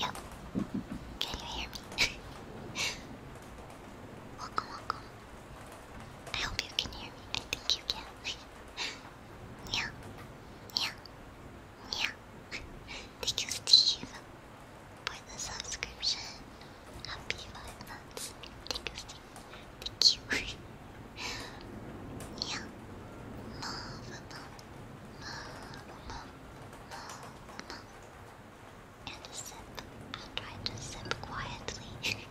Yo, can you hear me? welcome, welcome. I hope you can hear me. I think you can. yeah, yeah, yeah. Thank you, Steve, for the subscription. Happy five Thank you. Thank you. yeah. Love, love, love, love, And a sip. I'm to sip quietly.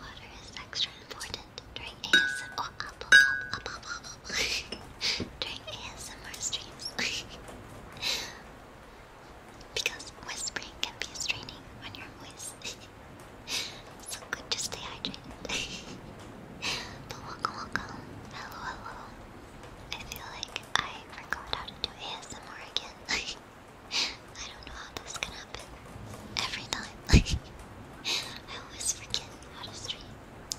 Water is extra important during ASMR during ASMR streams. because whispering can be straining on your voice. so good to stay hydrated. welcome, welcome. Hello, hello. I feel like I forgot how to do ASMR again. I don't know how this can happen every time. I always forget how to stream.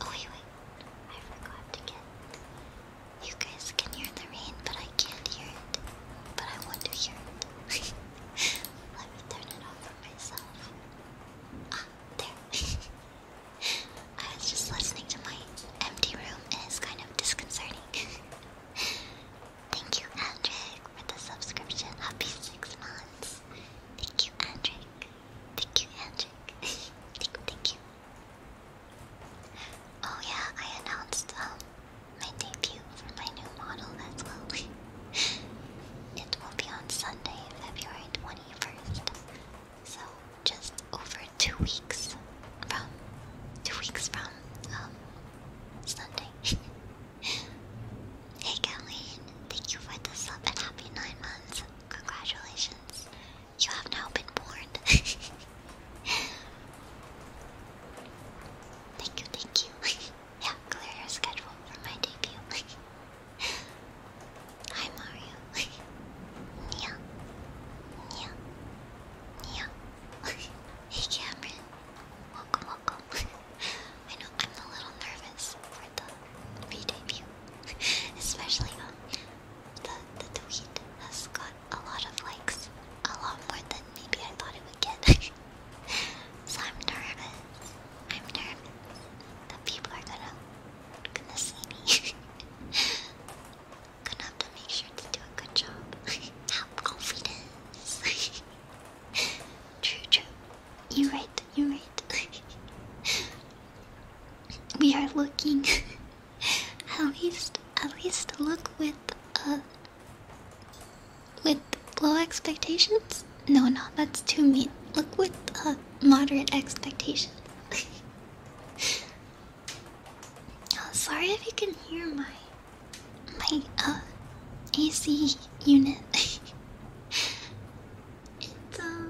Oh, wait, I forgot to get. You guys can hear the rain, but I can't hear it. But I want to hear it. Let me turn it off for myself. Ah, there. I was just listening to my empty room, and it's kind of disconcerting. Thank you, Andrick, for the subscription. Happy six months. Thank you, Andrick. Thank you, Andrew. thank you, Oh yeah, I announced um, my debut for my new model as well. it will be on Sunday, February twenty first. So just over two weeks from two weeks from um, Sunday. hey Colleen, thank you for the sub and happy nine months. Congratulations. You have now been born. thank you, thank you. yeah, clear your schedule for my debut. Hi, Mario. Nia. Nia. Nia. hey, Cameron. Welcome, welcome. I know I'm a little nervous for the re debut. Especially um, the the tweet has got a lot of likes, a lot more than maybe I thought it would get. so I'm nervous. I'm nervous that people are gonna gonna see me. gonna have to make sure to do a good job. have confidence. true, true. You're right, you're right. we are looking at least at least look with uh with low expectations? No no, that's too mean. Look with a uh, moderate expectations. Oh, sorry if you can hear my my uh AC unit. It's uh,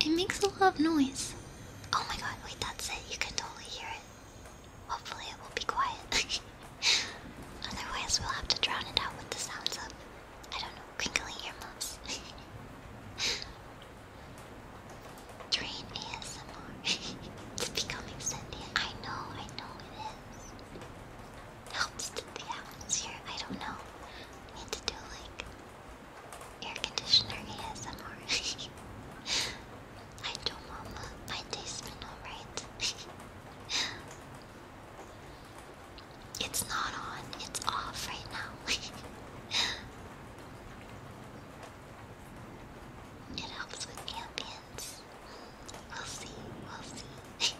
it makes a lot of noise. Oh my god! Wait, that's it. You can totally hear it. Hopefully, it will be quiet. Otherwise, we'll have to drown it out with the sounds of I don't know, crinkly earmuffs. Train ASMR. it's becoming Cindy. I know, I know it is. Helps the atmosphere. I don't know. need to do like Air conditioner ASMR. I do, Mama. My taste been alright. it's not on, it's off right now. it helps with ambience. We'll see, we'll see.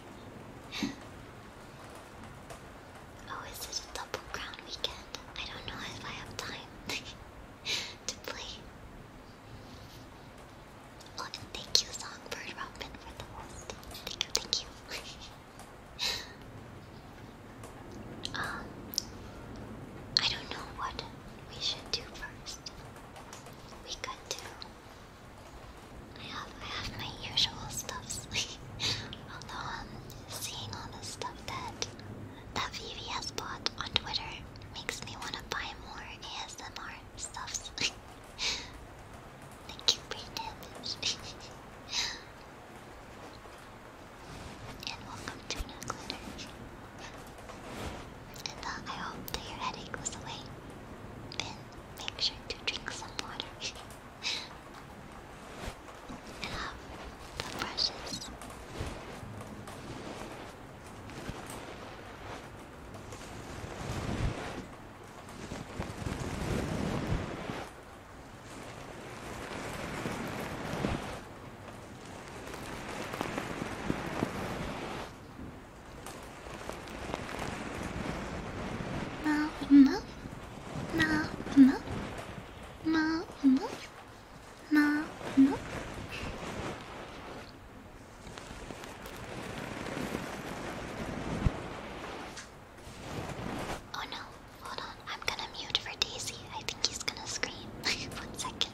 Oh, is it a double crown weekend? I don't know if I have time to play. Oh, thank you, Songbird Robin, for the host. Thank you, thank you. um, I don't know what we should do first. We could do. I have I have my usual stuffs. Although um, seeing all the stuff that that Vivi has bought on Twitter makes me want to buy more ASMR stuffs. Thank you, Brandon. and welcome to No Glitter. And uh, I hope that your headache was away. And make sure to drink some water. Love the brushes. Now, no, now, no. なのなの Oh no, hold on. I'm gonna mute for Daisy. I think he's gonna scream. One second.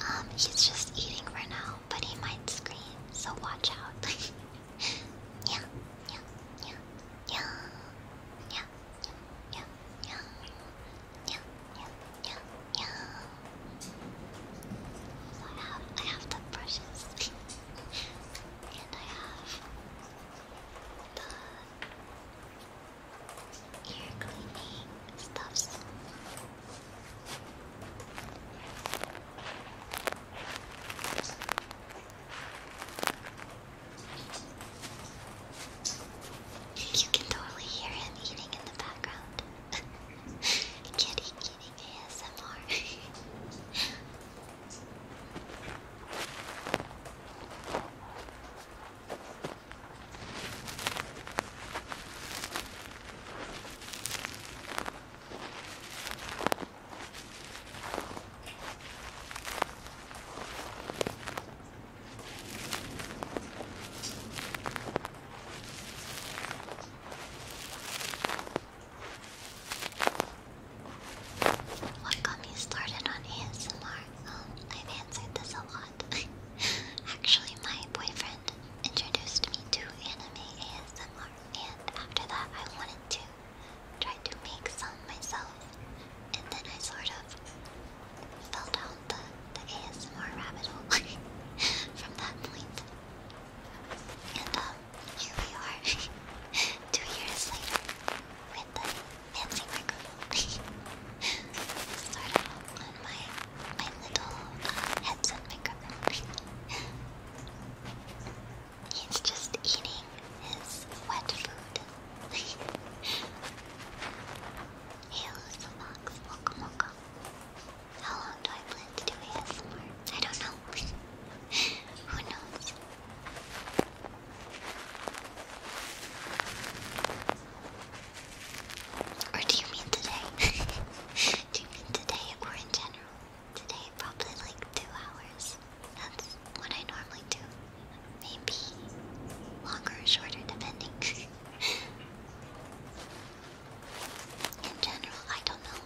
Um, he's just eating for now, but he might scream, so watch out. yeah, yeah, yeah, yeah, yeah, yeah, yeah, yeah, yeah, yeah, I have, I have the brushes, and I have the ear cleaning stuffs. You can totally hear him eating in the background. Kitty eating ASMR. What got me started on ASMR? Um, I've answered this a lot. Actually, my boyfriend introduced me to anime ASMR, and after that, I wanted to try to make some myself, and then I sort of fell down the, the ASMR rabbit hole from that And um, here we are, two years later, with the fancy microphone. sort of my my little uh, headset microphone. He's just eating his wet food. hey, Lucy Fox, welcome, welcome. How long do I plan to do ASMR? I don't know. Who knows? Or do you mean today? today or in general. Today, probably like two hours. That's what I normally do. Maybe longer shorter, depending. in general, I don't know.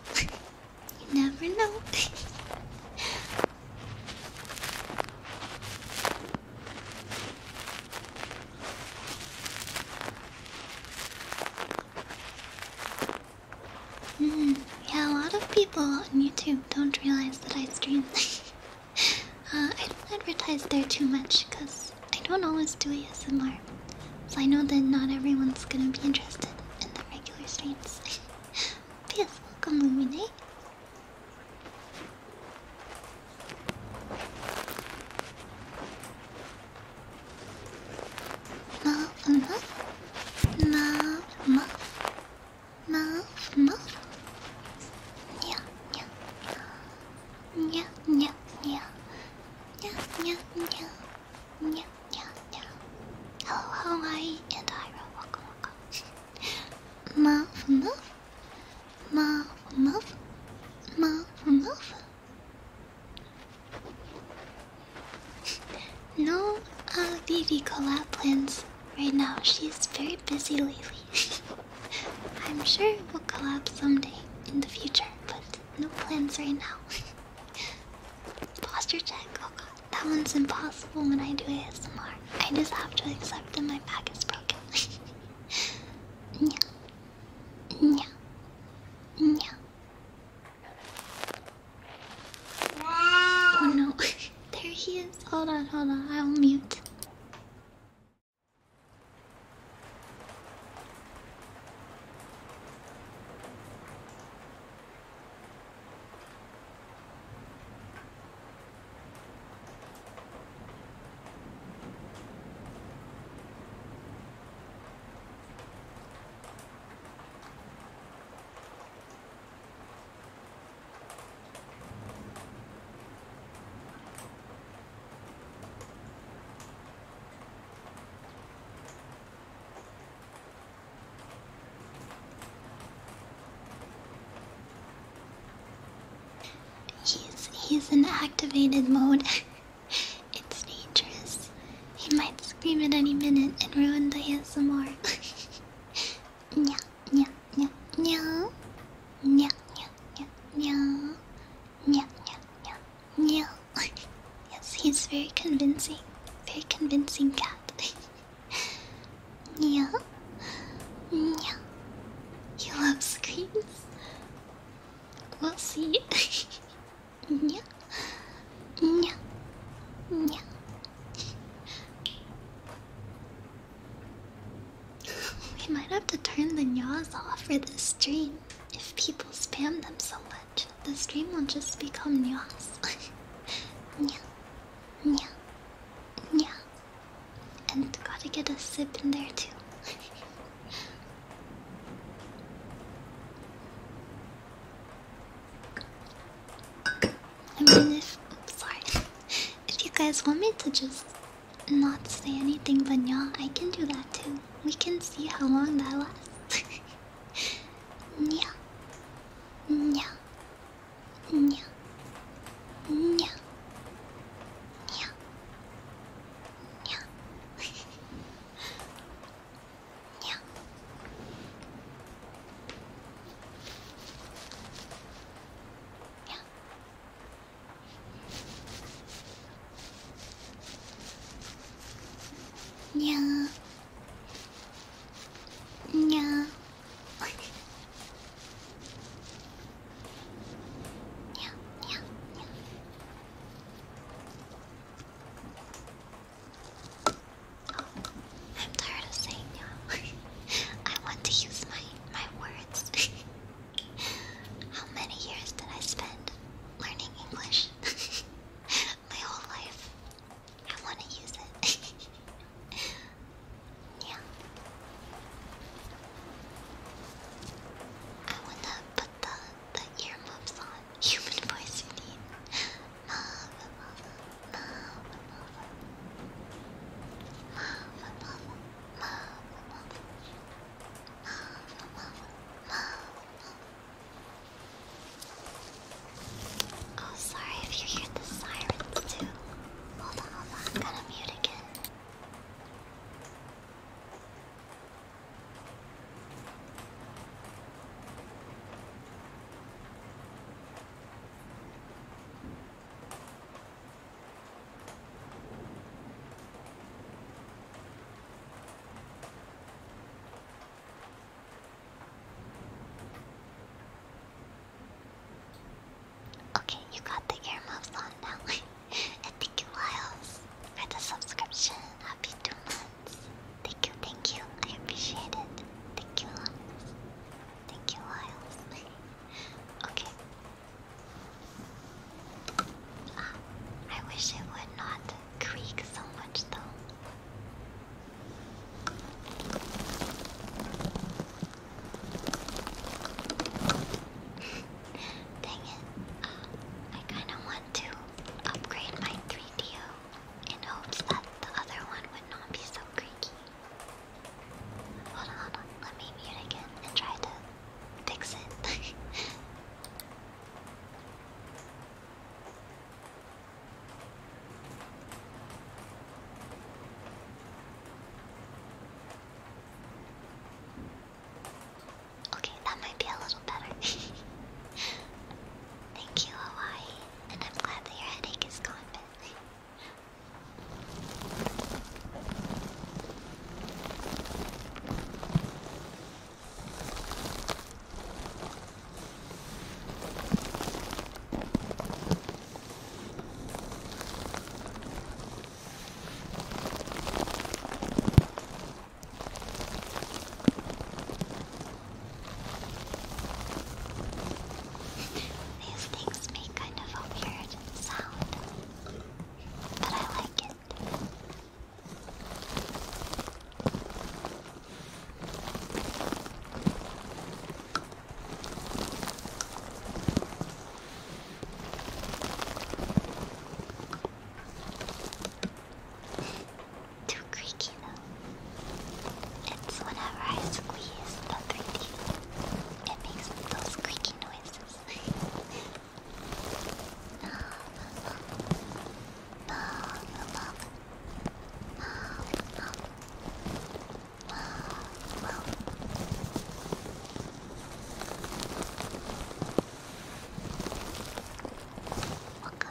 you never know. Mm, yeah, a lot of people on YouTube don't realize that I stream. uh, I don't advertise there too much because I don't always do ASMR. So I know that not everyone's gonna be interested in the regular streams. but yes, welcome, Lumine. Muff, muff, muff, muff, muff, muff. Yeah, yeah, yeah, yeah, yeah, yeah, yeah, yeah, yeah, yeah, yeah. Hello, Hawaii and Ira. Welcome, welcome. Muff, muff, muff, muff, muff, muff no I uh, baby collab plans right now. She's very busy lately. I'm sure we'll collab someday in the future, but no plans right now. Posture check. Oh god, that one's impossible when I do ASMR. I just have to accept that my back is broken. yeah. Yeah. Yeah. Oh no, there he is. Hold on, hold on, I'll mute. He's he's in activated mode. It's dangerous. He might scream at any minute and ruin the ASMR. Nya, nya, nya, nya. Nya, nya, nya, nya. Nya, nya, nya, nya. yes, he's very convincing. Very convincing cat. nya. Nya. He loves screams. We'll see. Yeah. We might have to turn the yaws off for this stream. If people spam them so much, the stream will just become yaws. yeah. Yeah. Yeah. And gotta get a sip in there too. I mean, if sorry, if you guys want me to just not say anything but yeah, I can do that too. We can see how long that lasts. yeah, yeah, yeah, yeah, yeah, yeah. にゃんにゃんにゃーにゃー I'm tired of saying no. I want to use my my words. How many years did I spend learning English? my whole life. I want to use it. yeah. I want to put the the ear on human voice you need. Lava, lava, lava, lava. Lava, lava, lava, lava. Lava, lava, Oh, sorry if you hear the sirens too. Hold on, hold on. I'm gonna mute again. Okay, you got the earmuffs on now. thank you, Miles, for the subscription. Happy two Thank you, thank you. I appreciate it. Thank you, Thank you, Miles. okay. Ah, I wish it would not creak so much, though. Dang it. Ah, I kind of want to upgrade my 3DO in hopes that the other one would not be so creaky. Hold on, Let me mute again and try to fix it. Okay, that might be a little better. Thank you, Hawaii. And I'm glad that your headache is gone, these things make kind of weird sound, but I like it. Too creaky though. It's whenever I squeeze the 3D, it makes those creaky noises.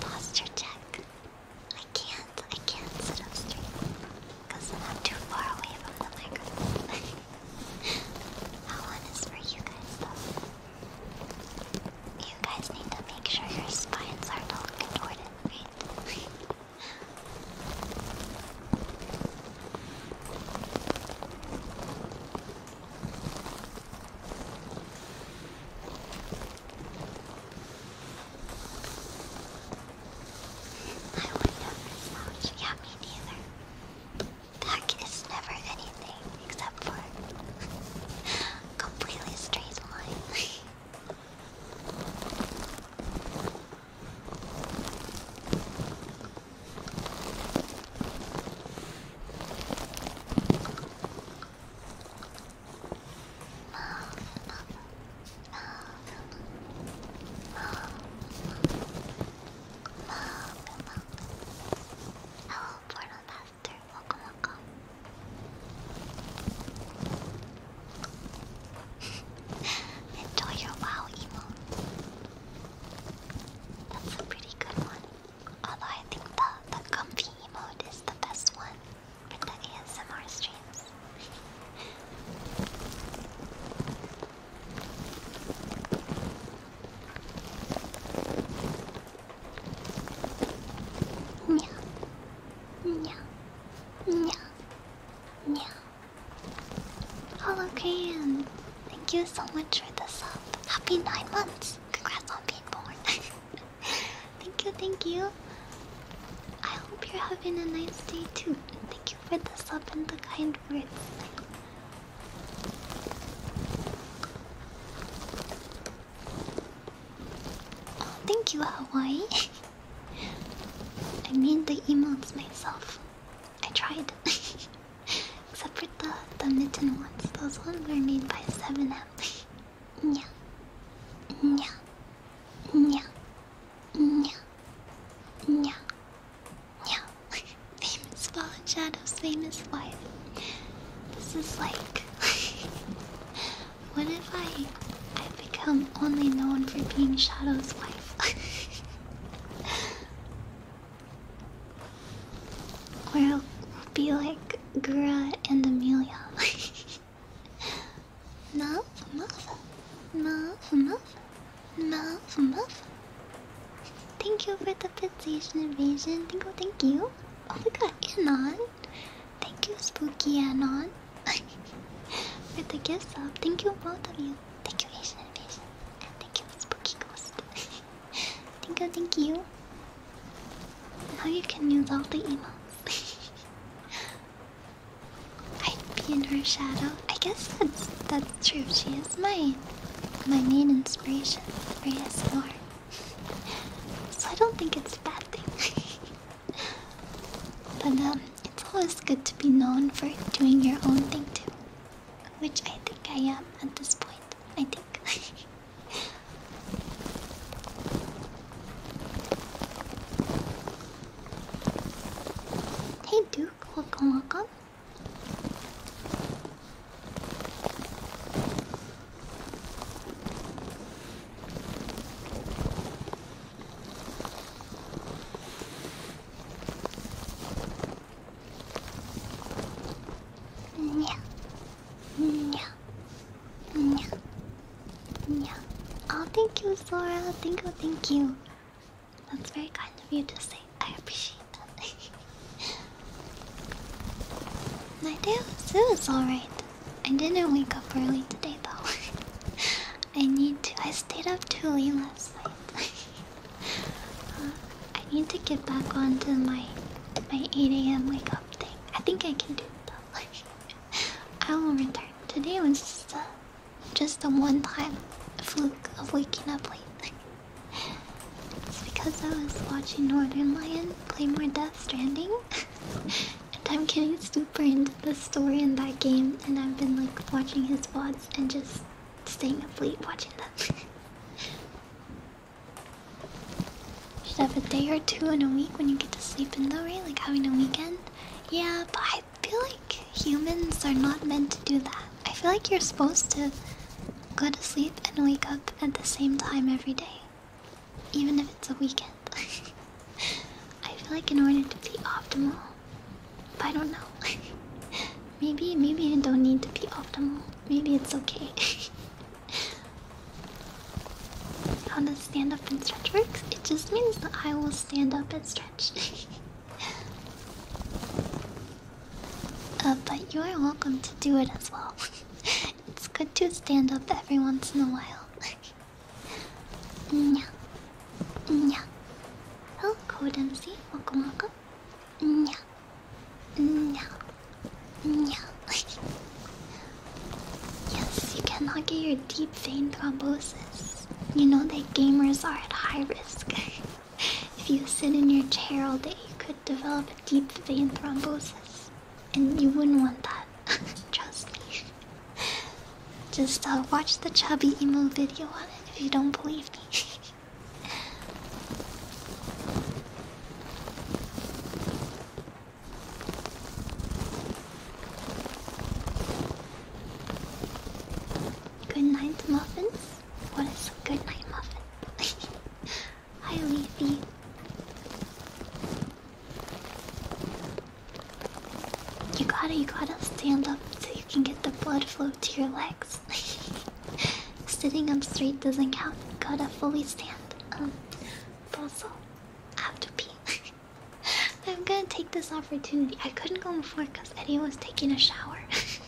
Posture check. I can't, I can't sit up straight because I'm too far away from the microphone. That one is for you guys You guys need to make sure your spines are not all contorted, right? I would never slouch. Yeah, me neither. Back is never anything except for completely straight lines. Hello, Portal Master. Welcome, welcome. Enjoy your wow emote. That's a pretty good one. Although I think the, the comfy emote is the best one for the ASMR streams. Hello, Graham. Thank you so much for the sub. Happy nine months. Congrats on being born. thank you, thank you. I hope you're having a nice day too. And thank you for the sub and the kind Oh, thank you, Hawaii. I made the emotes myself. I tried. Except for the, the mitten ones. Those ones were made by 7M. yeah. Yeah. Yeah. Yeah. Yeah. Yeah, famous fallen shadows, famous life. This is like, what if I, I become only known for being Shadow's wife? or I'll be like Gura and Amelia. Muff, muff, muff, muff, muff, muff. Thank you for the petition invasion. Thank you, thank you. Oh my god, Anon. Thank you, Spooky Anon. for the gift sub. Thank you, both of you. Thank you, Asian Invasion. And thank you, Spooky Ghost. thank you, thank you. Now you can use all the emails. I'd be in her shadow. I guess that's, that true, she is my my main inspiration for ASMR. so I don't think it's a bad thing. but um, it's always good to be known for doing your own thing too. Which I think I am at this point. I think. hey Duke, welcome, welcome. Oh, thank you, Sora. Thank you, thank you. That's very kind of you to say. I appreciate that. I do. It was alright. I didn't wake up early today though. I need to. I stayed up too late last night. Uh, I need to get back onto my my 8 a.m. wake up thing. I think I can do it though. I will return. Today was just a just a one time fluke of waking up late. It's because I was watching Northern Lion play more Death Stranding, and I'm getting super into the story in that game, and I've been like watching his VODs and just staying up late watching them. You should have a day or two in a week when you get to sleep in though, right? Like having a weekend? Yeah, but I feel like humans are not meant to do that. I feel like you're supposed to Go to sleep and wake up at the same time every day, even if it's a weekend. I feel like in order to be optimal, I don't know. maybe, maybe I don't need to be optimal. Maybe it's okay. How does stand up and stretch works? It just means that I will stand up and stretch. Uh, but you are welcome to do it as well. it's good to stand up every once in a while. Nya. Nya. Hello, oh, Code MC. Welcome, welcome. Nya. Nya. Nya. yes, you cannot get your deep vein thrombosis. You know that gamers are at high risk. if you sit in your chair all day, you could develop deep vein thrombosis, and you wouldn't want that. Trust me. Just uh, watch the chubby emo video on it if you don't believe me. Good night, muffins. What is a good night muffin? Hi, Leafy. You gotta, you gotta stand up so you can get the blood flow to your legs. Sitting up straight doesn't count. You gotta fully stand. Um, also, I have to pee. I'm gonna take this opportunity. I couldn't go before because Eddie was taking a shower.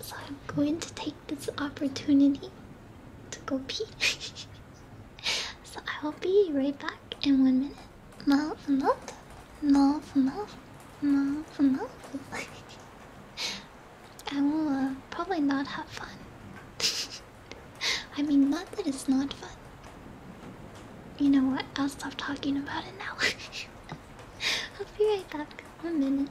so I'm going to take this opportunity to go pee. so I will be right back in one minute. Mouth, mouth, mouth, mouth, mouth, mouth. I will uh, probably not have fun. I mean, not that it's not fun. You know what? I'll stop talking about it now. I'll be right back. in One minute.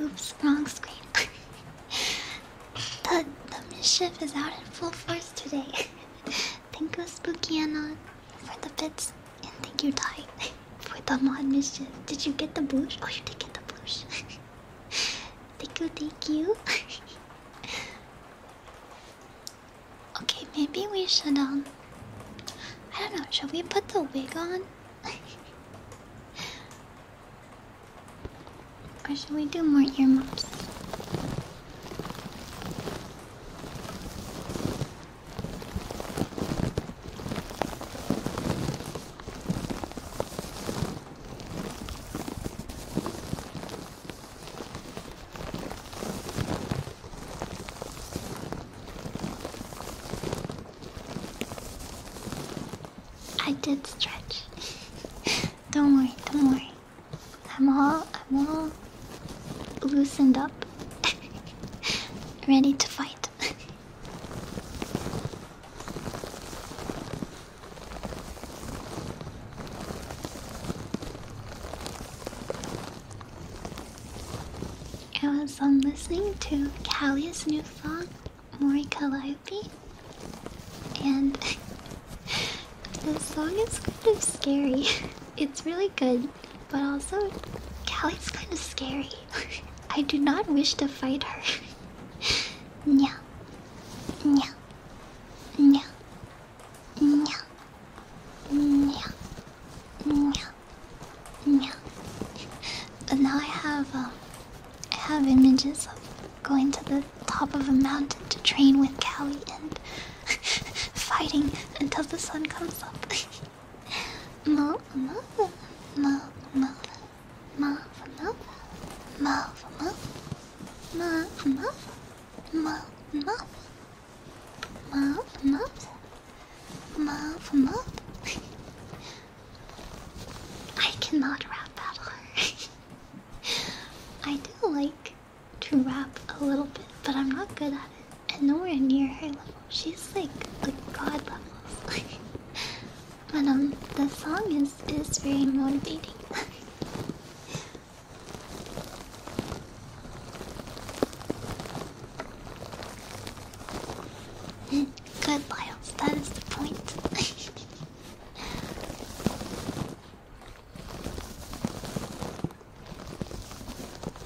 Oops, wrong screen. the, the mischief is out in full force today. thank you, Spooky Anna, for the bits, and thank you, Ty, for the mod mischief. Did you get the bush? Oh, you did get the bush. thank you, thank you. Okay, maybe we should, um. I don't know, should we put the wig on? or should we do more ear earmuffs? I did stretch. don't worry, don't worry. I'm all I'm all loosened up. Ready to fight. I was on listening to Callie's new song, Mori Calliope. And the song is kind of scary. It's really good, but also Callie's kind of scary. I do not wish to fight her. Meow. Meow. Meow. But now I have um, I have images of going to the top of a mountain to train with Callie and fighting until the sun comes up. Mother, mother, mother, mother, mother, mother, mother, mother, mother, mother, mother, mother. Mop, mop, mop, mop. I cannot rap that I do like to rap a little bit, but I'm not good at it. And nowhere near her level. She's like the god levels. but um, the song is is very motivating. Good, That is the point.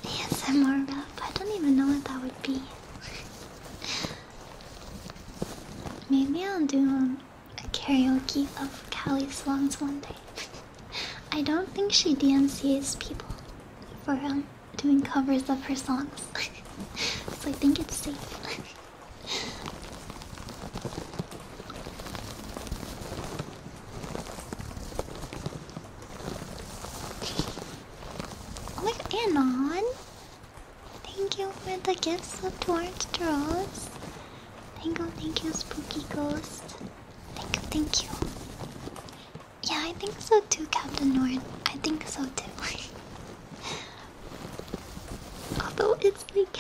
ASMR I don't even know what that would be. Maybe I'll do um, a karaoke of Cali songs one day. I don't think she DMCs people for um, doing covers of her songs. so I think it's safe. oh my god, Anon! Thank you for the gifts of Torch Draws. Thank you, thank you, Spooky Ghost. Thank, you, thank you. Yeah, I think so too, Captain Nord. I think so too. Although it's like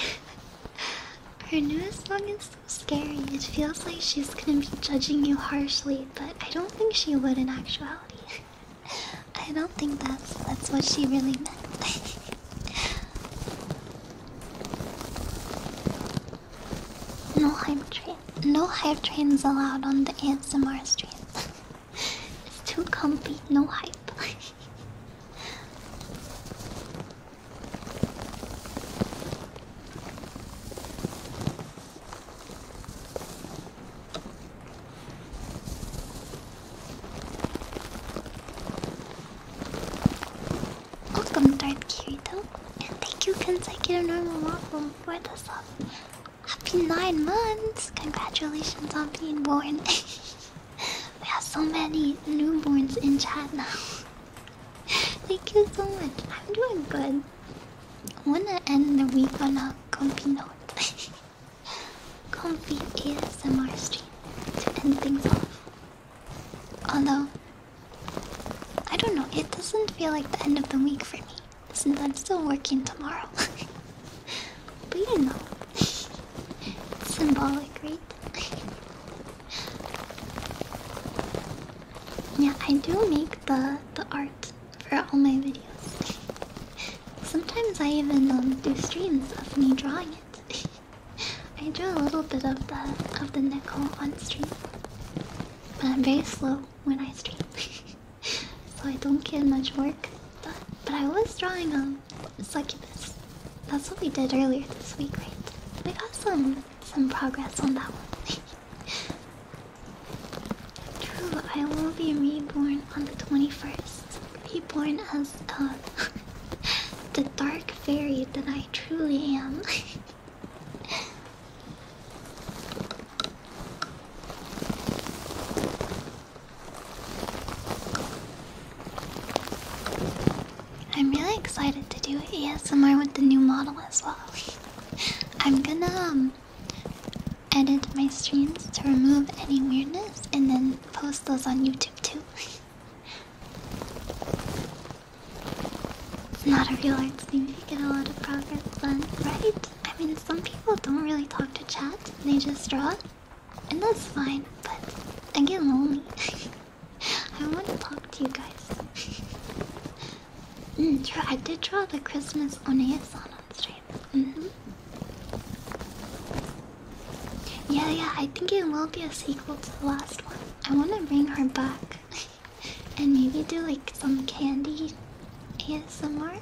her newest song is so scary. It feels like she's gonna be judging you harshly, but I don't think she would in actuality. I don't think that's that's what she really meant. No hype train. No hype trains allowed on the Ansamars train. it's too comfy. No hype. Welcome, Darth Kirito, and thank you, Consecutive Normal Waffle, for this. sub. Happy nine months! Congratulations on being born. we have so many newborns in chat now. Thank you so much. I'm doing good. I wanna end the week on a comfy note. comfy ASMR stream to end things off. Although I don't know, it doesn't feel like the end of the week for me since I'm still working tomorrow. but you know, symbolic, right? yeah, I do make the, the art for all my videos. Sometimes I even um, do streams of me drawing it. I drew a little bit of the of the nickel on stream. But uh, I'm very slow when I stream, so I don't get much work. done. but I was drawing a um, succubus. That's what we did earlier this week, right? We got some some progress on that one. True, I will be reborn on the 21st. Reborn as uh, the dark fairy that I truly am. I'm really excited to do ASMR with the new model as well. I'm gonna um, edit my streams to remove any weirdness and then post those on YouTube too. It's not a real arts thing to get a lot of progress done, right? I mean, some people don't really talk to chat, they just draw. And that's fine, but I get lonely. I want to talk to you guys. true, mm, I did draw the Christmas Oneasan on stream. -hmm. Yeah, yeah, I think it will be a sequel to the last one. I want to bring her back. and maybe do like some candy ASMR.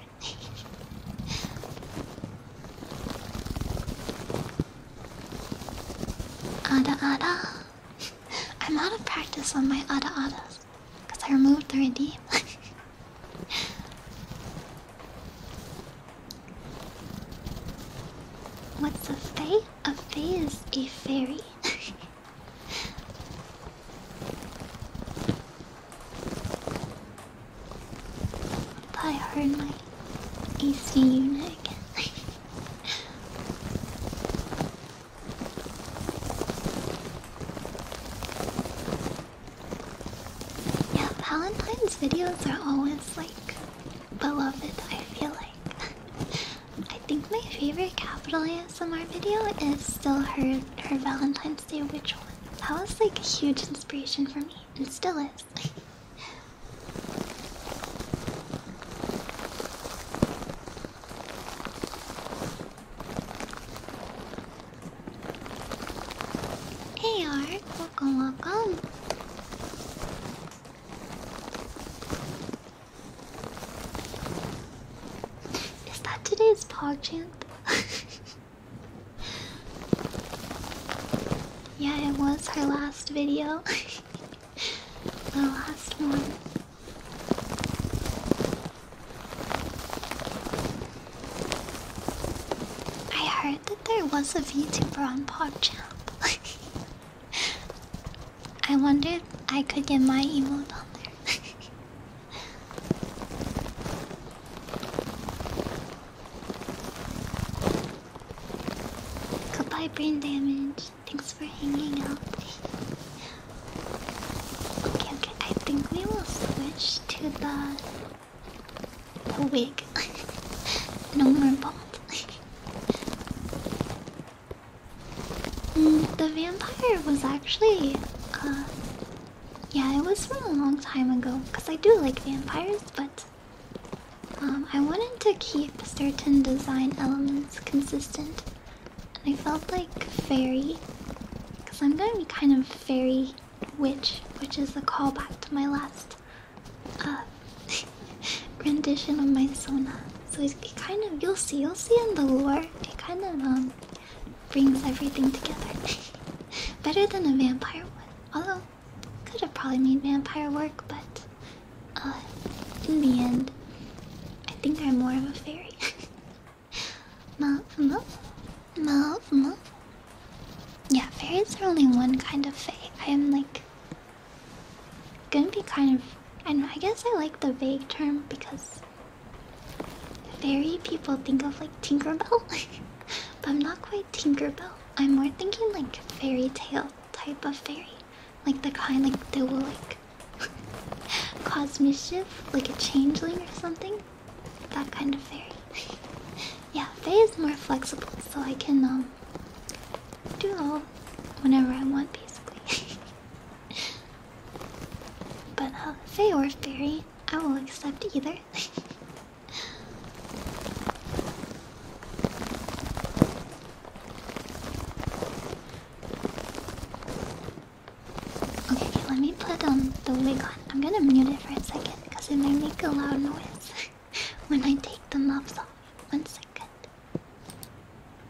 Ada ada. I'm out of practice on my ada adas because I removed the redeem. What's a fae? A fae is a fairy. I heard my AC unit yeah, Valentine's videos are always like beloved, I feel like. I think my favorite capital ASMR video is still her her Valentine's Day ritual. That was like a huge inspiration for me, and still is. hey Art, welcome, welcome. Is that today's PogChamp? yeah, it was her last video. the last one. I heard that there was a VTuber on PogChamp. I wonder if I could get my emote on there. Goodbye, brain damage. Thanks for hanging out. okay, okay. I think we will switch to the, the wig. no more bald. Mm, the vampire was actually, uh, yeah, it was from a long time ago. Cause I do like vampires, but um, I wanted to keep certain design elements consistent, and I felt like fairy, cause I'm gonna be kind of fairy witch, which is a callback to my last uh, rendition of my Sona. So it, kind of you'll see you'll see in the lore it kind of um, brings everything together better than a vampire one. Although could have probably made vampire work, but uh, in the end, I think I'm more of a fairy. Yeah, fairies are only one kind of fae. I am like gonna be kind of, and I guess I like the vague term because Fairy people think of like Tinkerbell, but I'm not quite Tinkerbell. I'm more thinking like fairy tale type of fairy, like the kind like that will like cause mischief, like a changeling or something. That kind of fairy. yeah, fairy is more flexible, so I can um do all whenever I want basically but um, Fey or Fairy, I will accept either. okay, let me put on um, the wig on. I'm gonna mute it for a second because it may make a loud noise when I take the muffs off. One second.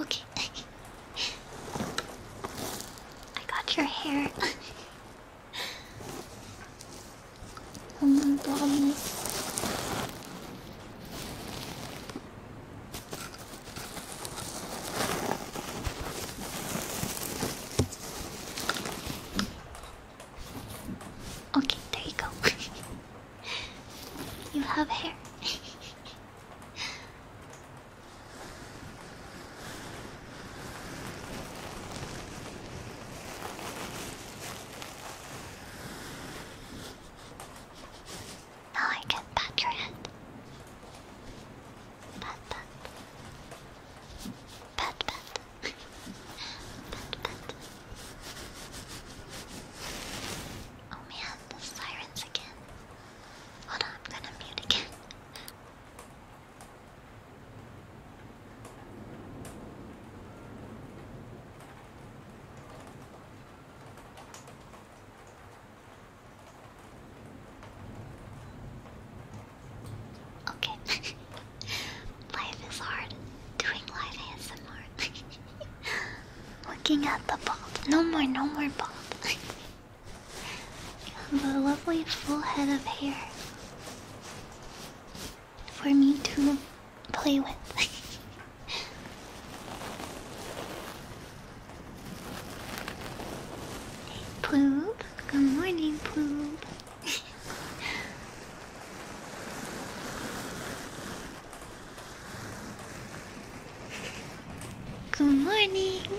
Okay. I got your hair. Oh okay, there you go. you have hair. Now I can pat your head. Pat, pat. Pat, pat. pat, pat. Oh man, the sirens again. Hold on, I'm gonna mute again. Okay. life is hard. Doing live ASMR. Looking at the bald. No more, no more bald. and a lovely full head of hair for me to play with. hey, Good morning, Ploob. Good morning.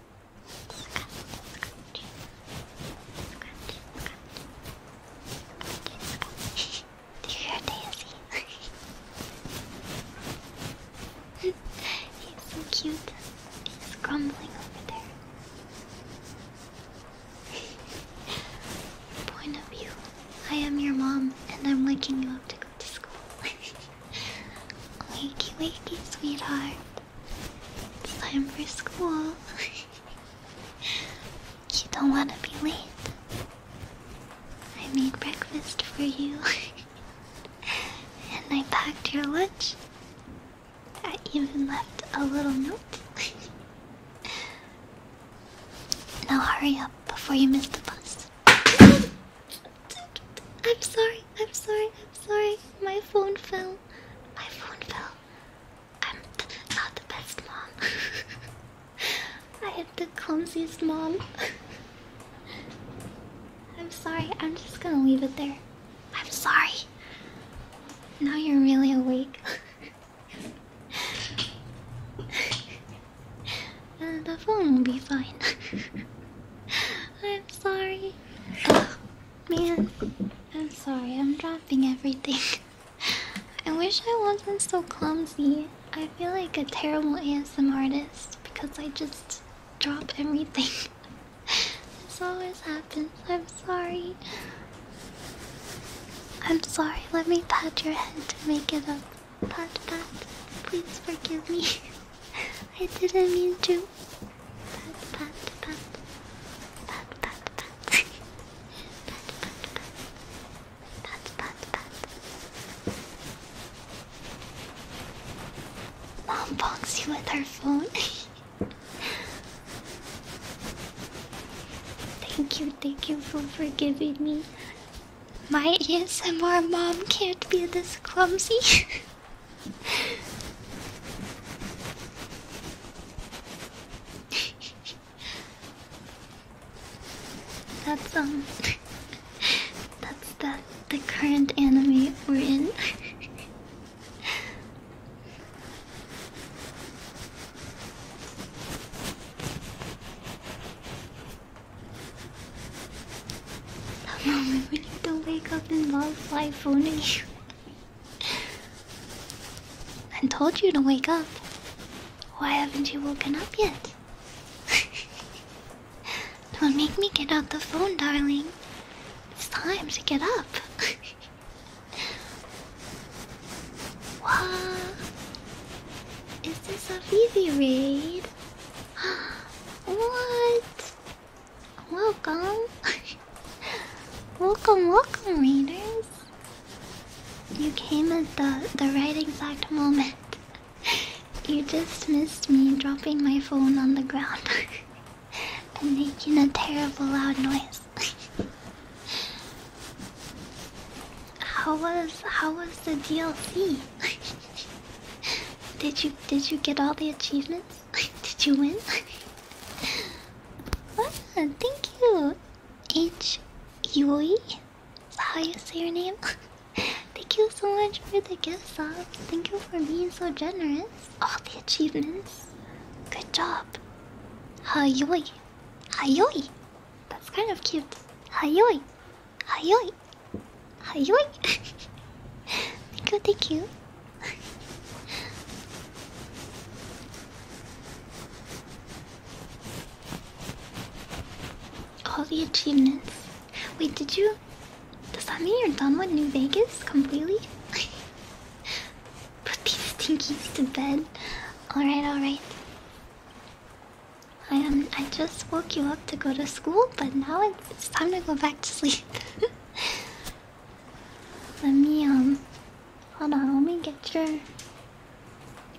Do you hear Daisy? He's so cute. He's grumbling over there. Point of view. I am your mom, and I'm waking you up to wakey, wakey, sweetheart. It's time for school. you don't want to be late. I made breakfast for you. and I packed your lunch. I even left a little note. now hurry up before you miss the bus. I'm sorry, I'm sorry, I'm sorry. My phone fell. My phone fell. I'm not the best mom. I am the clumsiest mom. I'm sorry, I'm just gonna leave it there. I'm sorry. Now you're really awake. and uh, the phone will be fine. I'm sorry. man, I'm sorry. I'm dropping everything. I wish I wasn't so clumsy. I feel like a terrible ASM artist because I just drop everything. this always happens. I'm sorry. I'm sorry. Let me pat your head to make it up. Pat, pat. Please forgive me. I didn't mean to. Pat, Mom bonks you with her phone. thank you, thank you for forgiving me. My ASMR mom can't be this clumsy. that's um that's that the current anime we're in. Mommy, moment when you don't wake up and love life phoning you. I told you to wake up. Why haven't you woken up yet? don't make me get out the phone, darling. It's time to get up. what? Is this a Vivi raid? what? Welcome. welcome, welcome, readers. You came at the the right exact moment. You just missed me dropping my phone on the ground and making a terrible loud noise. how was how was the DLC? did you did you get all the achievements? Did you win? ah, thank you, H. Yui. Is that how you say your name? thank you so much for the gifts, subs. Thank you for being so generous. All the achievements. Good job. Hayoi. Hayoi. That's kind of cute. Hayoi. Hayoi. Hi, yoink. thank you, thank you. All the achievements. Wait, did you? Does that mean you're done with New Vegas completely? Put these stinkies to bed. Alright, alright. I um I just woke you up to go to school, but now it's time to go back to sleep. let me um hold on let me get your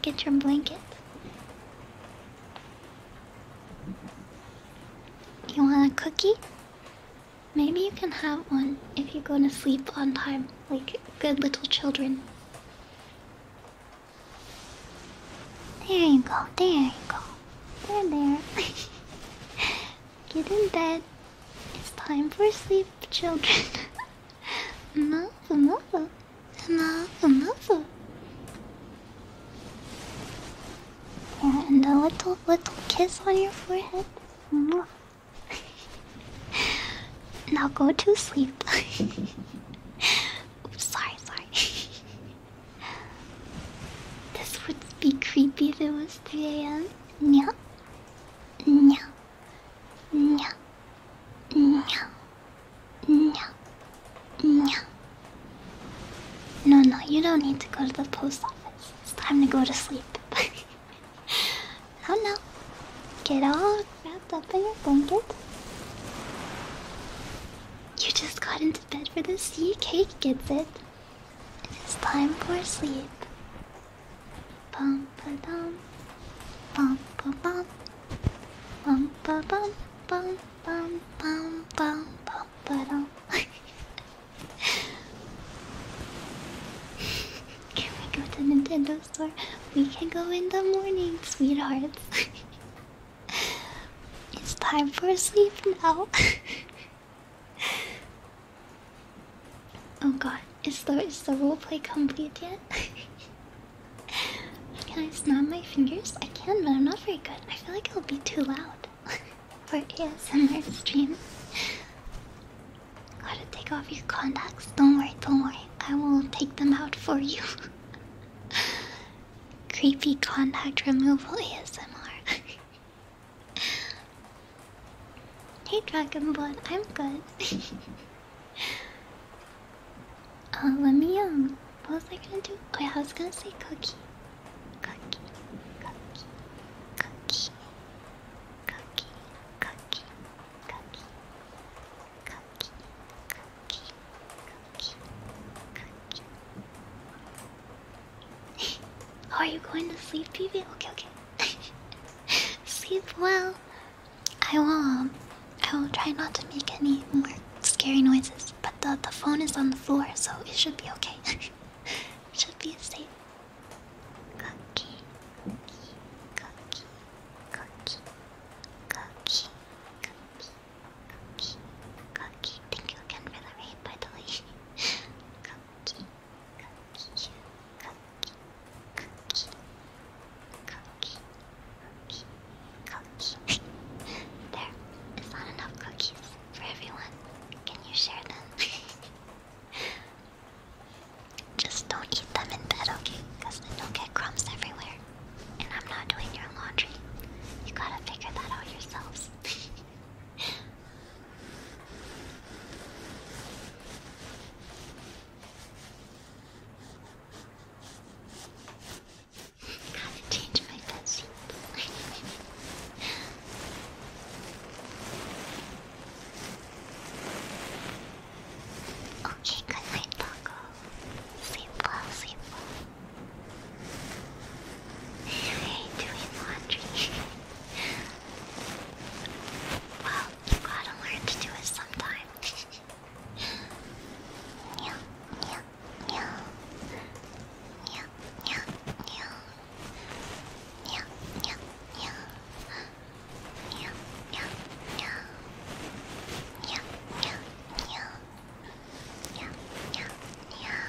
get your blanket you want a cookie maybe you can have one if you go to sleep on time like good little children there you go there you go there there Get in bed. It's time for sleep, children. enough, enough. Enough, enough. and a little, little kiss on your forehead. now go to sleep. sorry, sorry. This would be creepy if it was 3 a.m. Nya. Nya. Nya. Nya. Nya. Nya. No, no, you don't need to go to the post office. It's time to go to sleep. oh no. Get all wrapped up in your blanket. You just got into bed for the sea cake, gets it? It's time for sleep. Bum ba dum, bum ba bum, bum ba bum, bum bum bum bum bum ba dum. Can we go to Nintendo Store? We can go in the morning, sweethearts. it's time for sleep now. oh god, is the is the roleplay complete yet? can I snap my fingers? I can, but I'm not very good. I feel like it'll be too loud for ASMR stream. Gotta take off your contacts. Don't worry, don't worry. I will take them out for you. Creepy contact removal ASMR. Hey Dragonborn, I'm good. uh, let me um what was I gonna do? Oh I was gonna say cookie. Cookie, cookie, cookie, cookie, cookie, cookie, cookie, cookie, cookie, cookie. Oh, are you going to sleep, PB? Okay, okay. sleep well. I will. Um, I will try not to make any more scary noises. But the the phone is on the floor, so it should be okay. should be safe. Cookie, cookie, cookie, there is not enough cookies for everyone. Can you share them? Just don't eat them in bed, okay? Because then you'll get crumbs everywhere. And I'm not doing your laundry. You gotta figure that out yourselves. I have to change my bed sheet. okay, good night, Sleep well, sleep well. I hate doing laundry. well, you gotta learn to do it sometime. yeah, yeah, yeah. Yeah, yeah, yeah. Yeah, yeah, yeah. Yeah, yeah, yeah. Yeah, yeah, yeah. Yeah, yeah, yeah.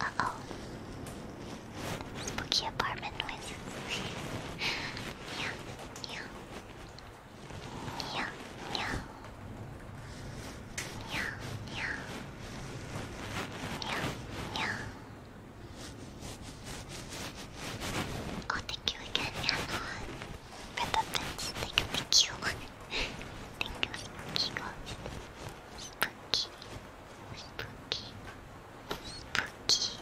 Uh oh. Spooky apartment noises. yeah, yeah. Yeah, yeah. Yeah, yeah. Yeah, yeah. Oh, thank you again, Anna. For the bits. Thank you, thank you. thank you, Spooky Ghost. Spooky. Spooky. Spooky.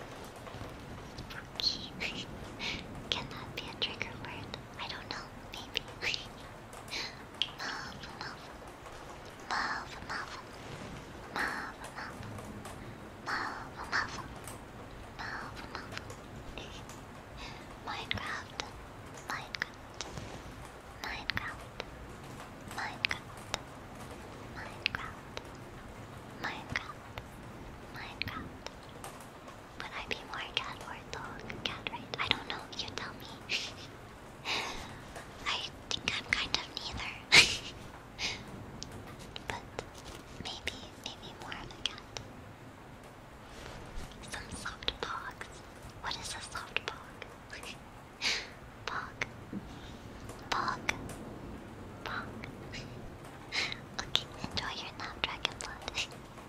Spooky. Can that be a trigger word? I don't know, maybe. Mauve, mauve. Mauve, mauve. Mauve, mauve. Mauve, mauve. Mauve, mauve. Minecraft. Minecraft. Minecraft. Minecraft. Minecraft. Minecraft. Minecraft. Would I be more cat or dog? Cat, right? I don't know. You tell me. I think I'm kind of neither. but maybe, maybe more of a cat. Some soft bogs. What is a soft bog? Bog. Bog. Bog. okay, enjoy your nap, Dragon Blood.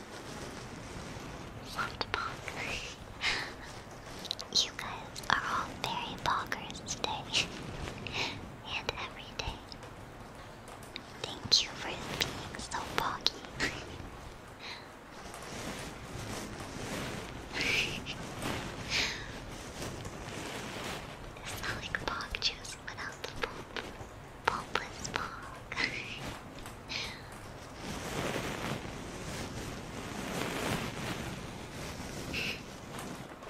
Soft bonk. you guys are all very bonkers today. and every day. Thank you for being so boggy. it's not like bog without the pulp. Pulpless bog.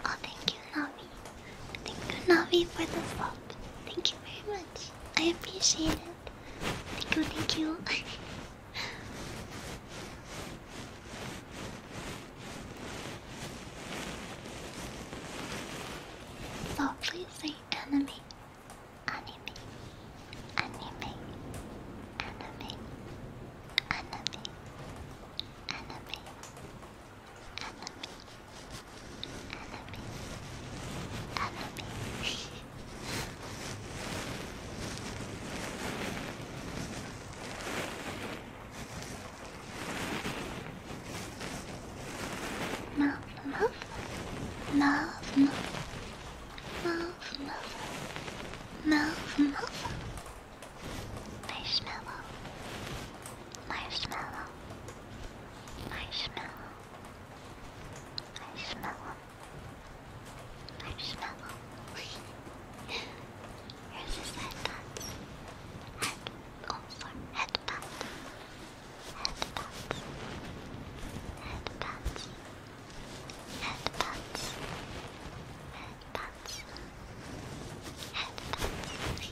oh, thank you, Navi. Thank you, Navi, for the sub. Thank you very much. I appreciate it. Thank you, thank you. so please say anime Anime. Anime. Anime. Anime. Anime. Anime. Anime. Anime. Love, love, love, love, Move, move, move, move. Marshmallow. Marshmallow. Marshmallow. Marshmallow. Marshmallow. Here's his headbutt. Head, oh sorry, headbutt head pats, head pats, head pats, head pats, head pats. Yeah,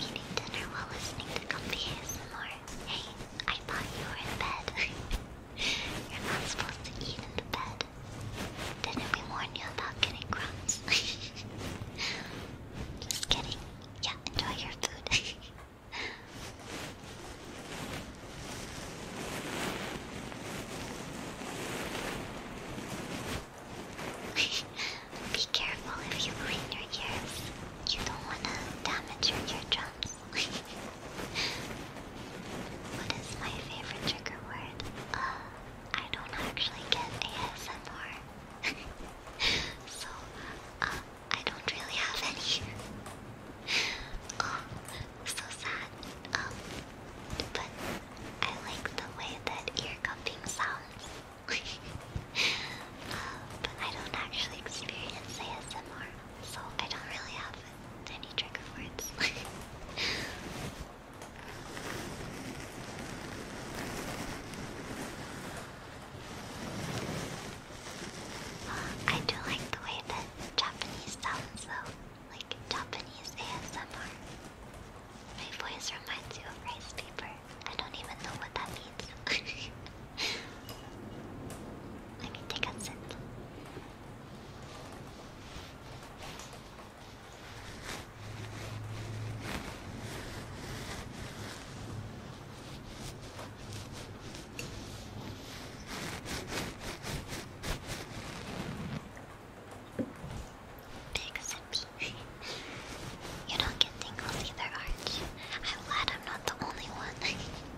Eating dinner while listening to comfy ASMR. Hey, I thought you were in bed. You're not supposed to eat in the bed. Didn't we warn you about getting crumbs? Just kidding. Yeah, enjoy your food. Be careful if you clean your ears. You don't want to damage your eardrum what is my favorite trigger word? Uh, I don't actually get ASMR. so, uh, I don't really have any. oh, so sad. Um, but I like the way that ear cupping sounds. uh, but I don't actually experience ASMR, so I don't really have tiny trigger words. I do like the way that Japanese sounds though, like Japanese ASMR. My voice reminds you of rice paper. I don't even know what that means. Let me take a sip. Tigers and peach. You don't get tingles either, are I'm glad I'm not the only one.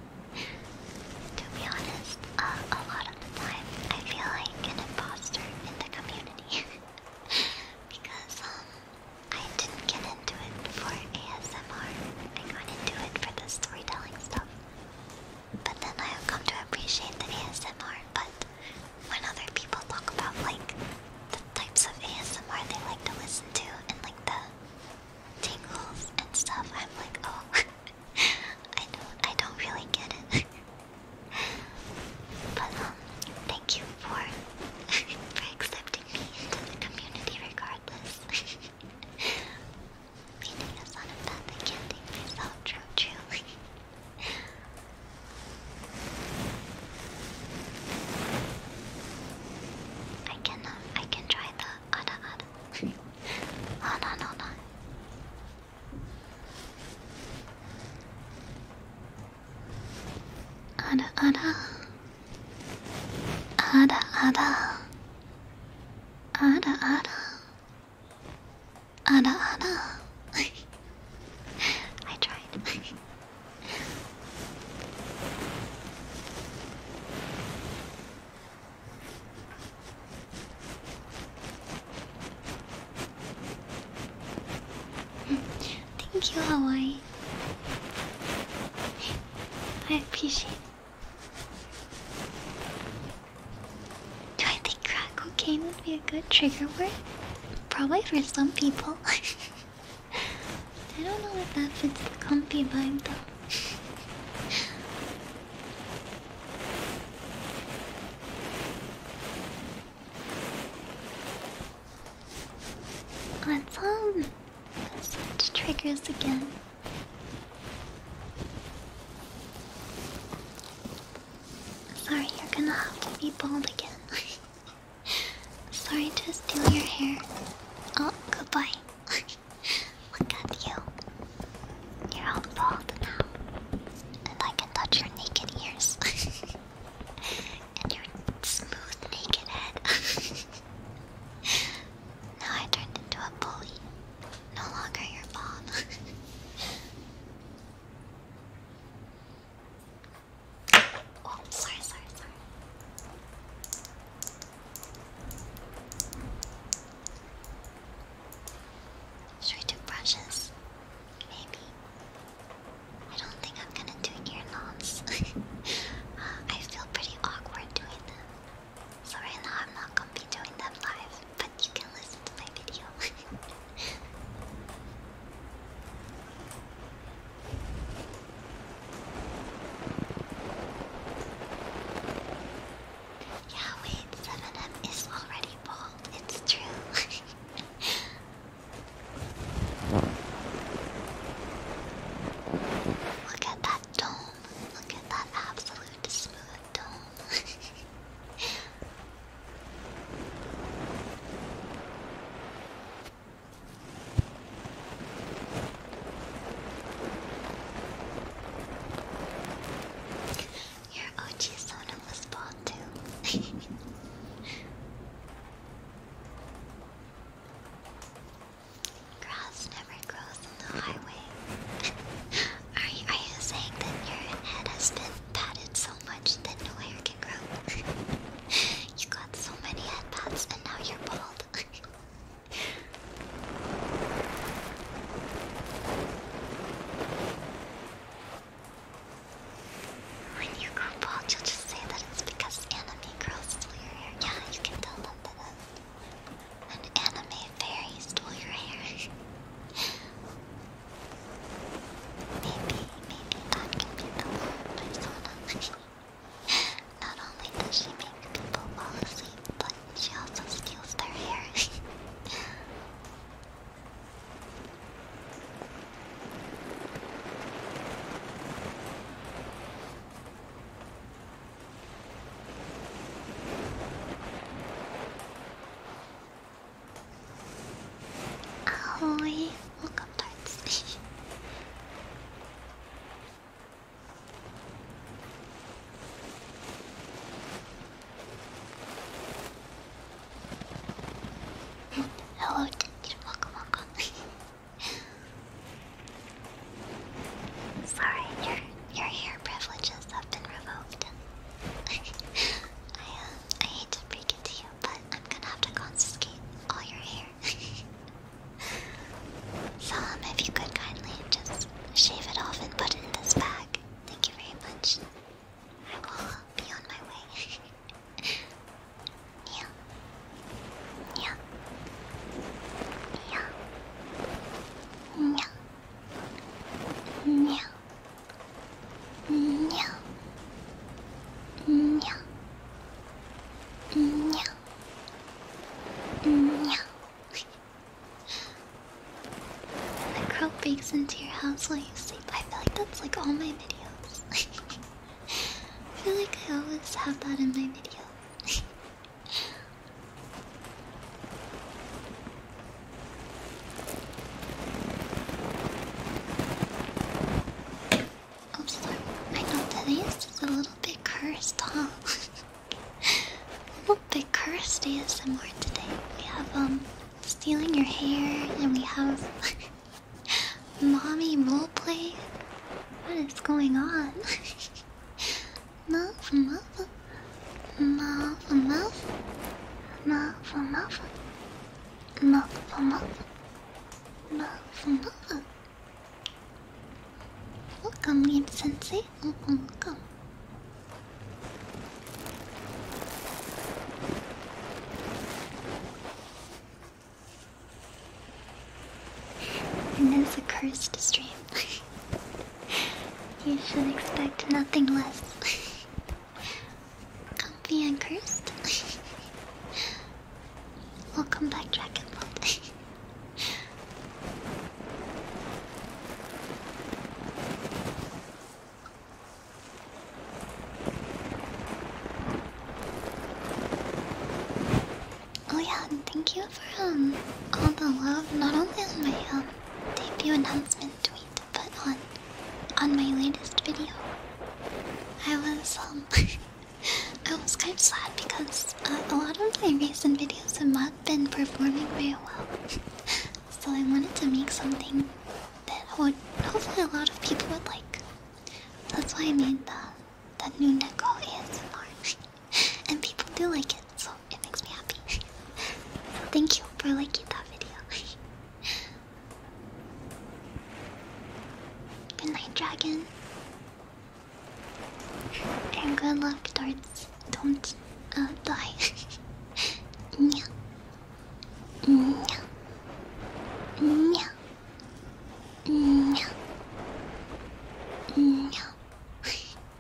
To be honest, um, a lot of the time I feel like an impostor in the community because um, I didn't get into it for ASMR. I got into it for the storytelling stuff. But then I've come to appreciate the ASMR. But when other people talk about like the types of ASMR they like to listen to and like the tingles and stuff, I'm like, oh. I don't I don't really get it. but um thank you for for accepting me into the community regardless. Meaning as on a path can't take myself true truly. I can, I can try the ada ada. Hold on, hold on. Ada, ada. Ada, ada. Ada, ada. I tried. Thank you, Hawaii. I appreciate Do I think crack cocaine would be a good trigger word? Probably for some people. I don't know if that fits the comfy vibe though. What's up? Such triggers again. Sorry, you're gonna have to be bald again. Sorry to steal your hair. Oh, goodbye. Look at you. You're all bald now. And I can touch your naked ears. and your smooth naked head. now I turned into a bully. No longer your mom. oh, sorry, sorry, sorry. Should we do brushes? Maybe. I don't think I'm gonna do ear knots. Uh, I feel pretty awkward doing them. So right now I'm not gonna be doing them live, but you can listen to my video. Yeah, wait, 7M is already bald. It's true. Look at that dome. Look at that absolute smooth dome. Your Ochi-sona was bald too. Grass never grows on the highway. are, you, are you saying that your head has been patted so much that no hair can grow? you got so many head and now you're bald. When you grow bald, you'll just say that it's because anime girls stole your hair. Yeah, you can tell them that an anime fairy stole your hair. maybe, maybe that can be the love persona. Not only does she make people fall asleep, but she also steals their hair. Ahoy! Welcome, Darts. Hello, Ginger. Welcome, welcome. Sorry, your your hair privileges have been revoked. I um, I hate to break it to you, but I'm gonna have to confiscate all your hair. so um, if you could kindly just shave it off and put it in this bag. Thank you very much. I will be on my way. yeah. Yeah. Yeah. Yeah. Yeah. Yeah. Yeah. Yeah. The crow breaks into your house while you sleep. I feel like that's like all my videos. I feel like I always have that in my video. Oh, sorry. I know today a little bit cursed, huh? the curse day is some more today. We have um stealing your hair and we have mommy role play. What is going on? Muff muff muff muff muff muff muff muff muff muff. Welcome, Game Sensei. Mm come. cursed stream. you should expect nothing less. Comfy and cursed. Welcome back, Dragon Oh yeah, and thank you for um all the love, not only on my um debut announcement tweet, but on on my latest video. I was um I was kind of sad because uh, a lot of my recent videos have not been performing very well. So I wanted to make something that would hopefully a lot of people would like. That's why I made the that new Neko ASMR. and people do like it, so it makes me happy. thank you for liking that video. Good night, dragon. And good luck Darts don't uh, die. yeah. Yeah. Yeah. Yeah. Yeah.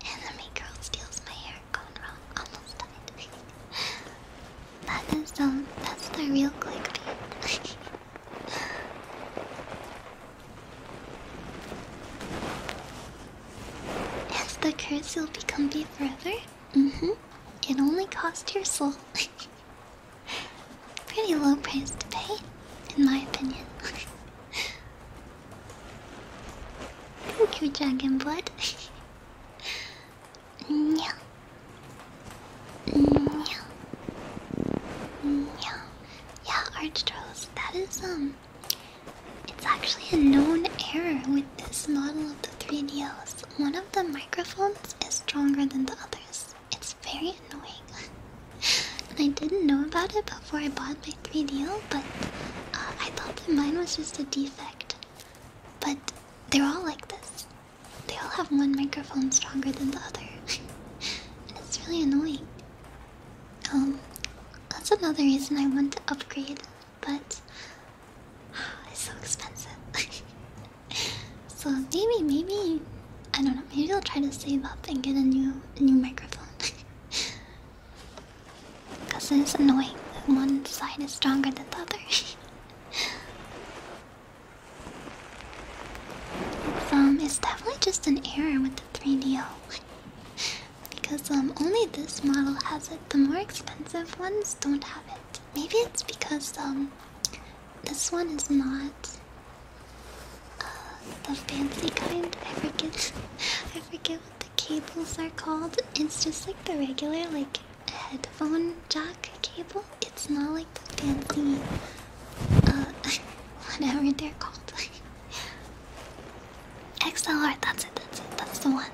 Enemy girl steals my hair. Gone wrong. Almost died. that is um. That's the real clickbait. As the curse will be comfy forever? Mm-hmm. It only cost your soul. Pretty low price to pay, in my opinion. Thank you, Dragon Blood. yeah. Yeah. Yeah. Yeah, That is um it's actually a known error with this model of the 3DOs. One of the microphones is stronger than the others. It's very annoying. and I didn't know about it before I bought my 3DO, but uh, I thought that mine was just a defect. But they're all like this. They all have one microphone stronger than the other. and it's really annoying. Um, that's another reason I want to upgrade but ah, it's so expensive. so maybe, maybe I don't know. Maybe I'll try to save up and get a new, a new microphone. Cause it's annoying that one side is stronger than the other. it's um, it's definitely just an error with the 3DO because um, only this model has it. The more expensive ones don't have it. Maybe it's because um, this one is not uh, the fancy kind. I forget. I forget what the cables are called. It's just like the regular like headphone jack cable. It's not like the fancy uh, whatever they're called. XLR, that's it, that's it, that's the one.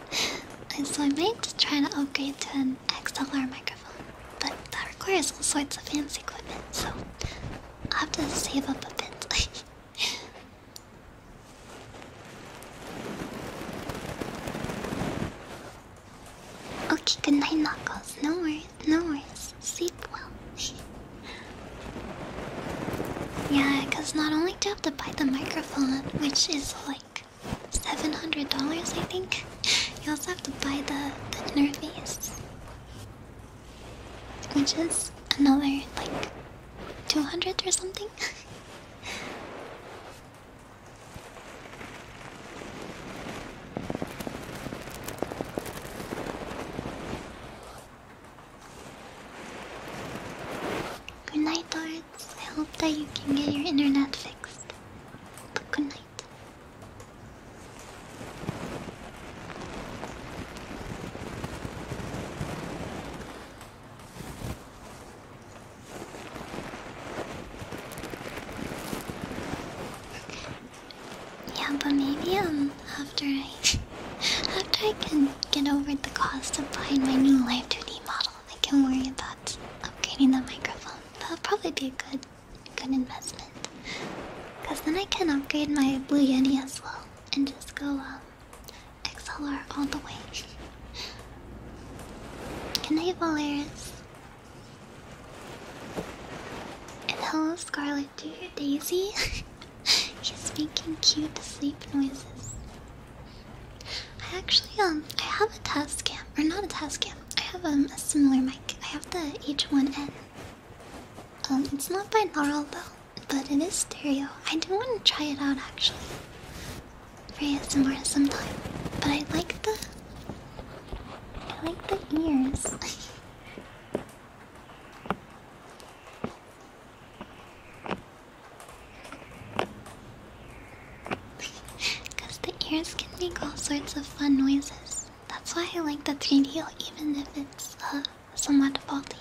and so I might try to upgrade to an XLR microphone, but that requires all sorts of fancy equipment, so I'll have to save up a bit. okay, good night, Knuckles. No worries, no worries. Sleep well. yeah, because not only do I have to buy the microphone, which is like. $700, I think. You also have to buy the, the inner which is another like 200 or something. Good night, Doris. I hope that you can get your internet fixed. But good night. Yeah, but maybe um after I after I can get over the cost of buying my new life 2D model. I can worry about upgrading the microphone. That'll probably be a good, good investment. Cause then I can upgrade my Blue Yeti as well and just go um, XLR all the way. Can I have Valeris. And hello, Scarlet. Do you hear Daisy? She's making cute sleep noises. I actually um I have a test cam or not a test cam. I have um, a similar mic. I have the H1N. Um, it's not binaural though, but it is stereo. I do want to try it out actually. For ASMR sometime. But I like the I like the ears. Because the ears can make all sorts of fun noises. That's why I like the 3D, even if it's uh, somewhat faulty.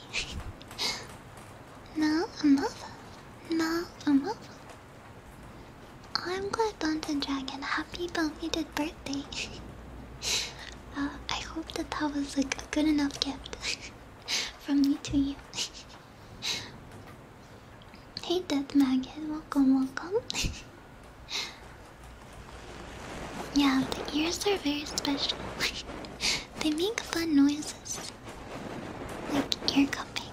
now enough. Now enough. I'm glad Dungeon Dragon. Happy belated birthday. Uh, I hope that that was like a good enough gift from me to you. hey death maggot welcome welcome yeah the ears are very special they make fun noises like ear cupping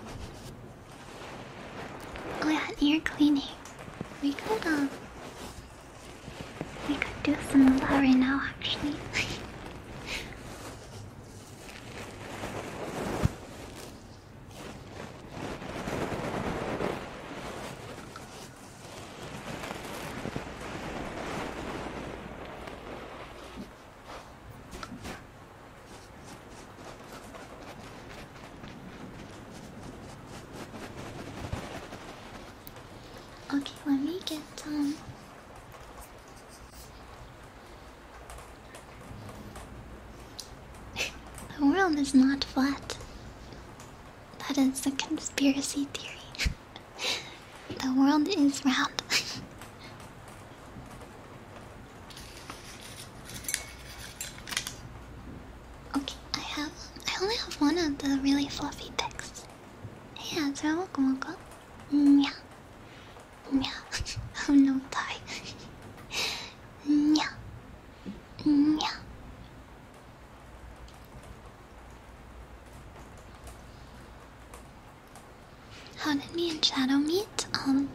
oh yeah ear cleaning we could uh we could do some of that right now actually Okay, let me get um the world is not flat. That is a conspiracy theory. the world is round. okay, I have. I only have one of the really fluffy texts. Yeah, so welcome, welcome. Meow, Nya. Nya. Oh no, bye. Meow, meow. How did me and Shadow meet? Um,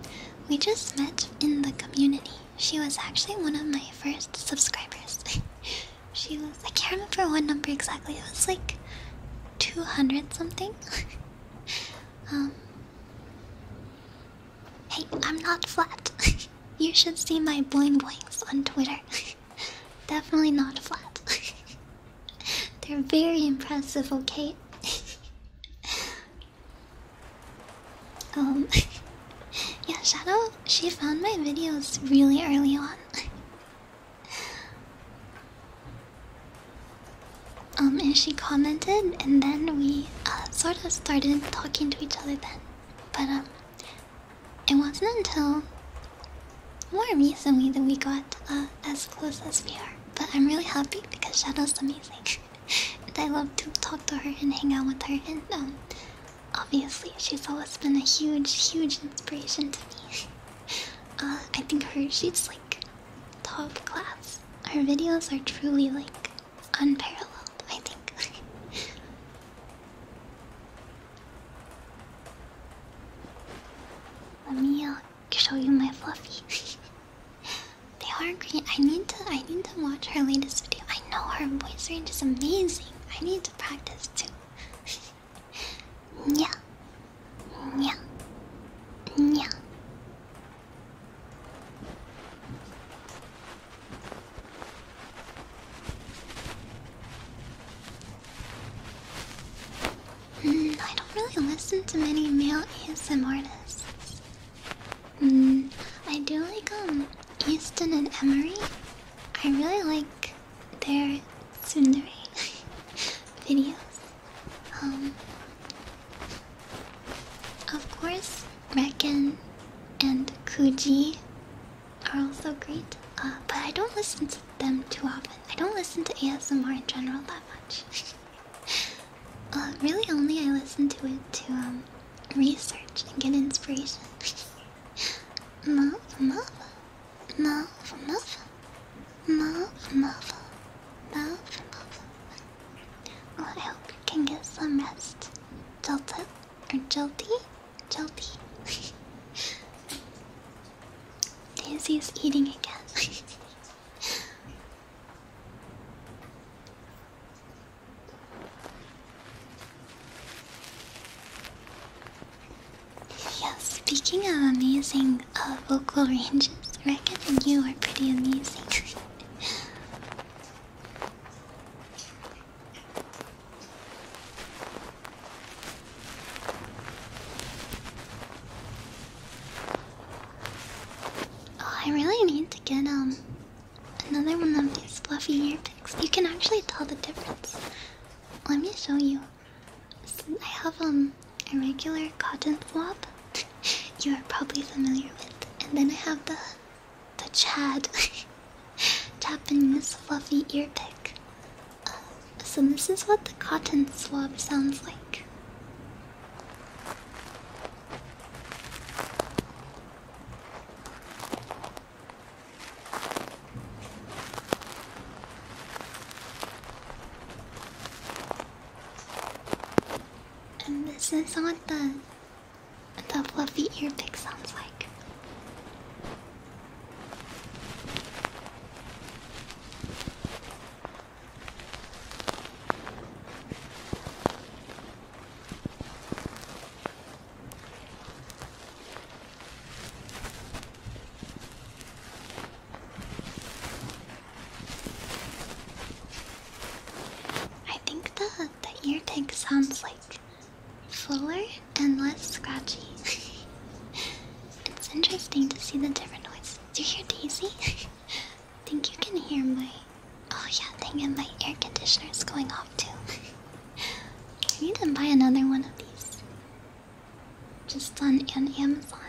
we just met in the community. She was actually one of my first subscribers. she was, I can't remember what number exactly, it was like 200 something. Um. Hey, I'm not flat. you should see my boing boings on Twitter. Definitely not flat. They're very impressive, okay? um. yeah, Shadow, she found my videos really early on. Um, and she commented, and then we uh, sort of started talking to each other then. But um, it wasn't until more recently that we got uh, as close as we are. But I'm really happy because Shadow's amazing. and I love to talk to her and hang out with her. And um, obviously, she's always been a huge, huge inspiration to me. uh, I think her, she's like top class. Our videos are truly like unparalleled, I think. Let me uh, show you my fluffy. they are great. I need to I need to watch her latest video. I know her voice range is amazing. I need to practice too. yeah. Yeah. Yeah. Hmm, I don't really listen to many male ASM artists. Mm, I do like um Easton and Emery. I really like their tsundere videos. Um, of course, Reckon and Kuji are also great, uh, but I don't listen to them too often. I don't listen to ASMR in general that much. Uh, really, only I listen to it to um, research and get inspiration. Muff, muff, muff, muff, muff, muff, muff, muff. I hope you can get some rest. Jolted or jilty, jilty. Daisy is eating again. yes, speaking of amazing uh, vocal ranges, Reckon and you are pretty amazing. Oh, I really need to get um another one of these fluffy ear picks. You can actually tell the difference. Let me show you. I have um a regular cotton swab you are probably familiar with. And then I have the the Chad this fluffy ear pick. Uh, so this is what the cotton swab sounds like. And this is what the the fluffy earpick sounds like. I think the the ear tag sounds like fuller and less scratchy. it's interesting to see the different noises. Do you hear Daisy? I think you can hear my oh yeah, dang it, my air conditioner is going off too. I need to buy another one of these. Just on, on Amazon.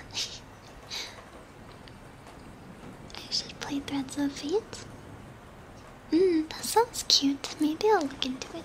I should play Threads of Fate? Mmm, that sounds cute. Maybe I'll look into it.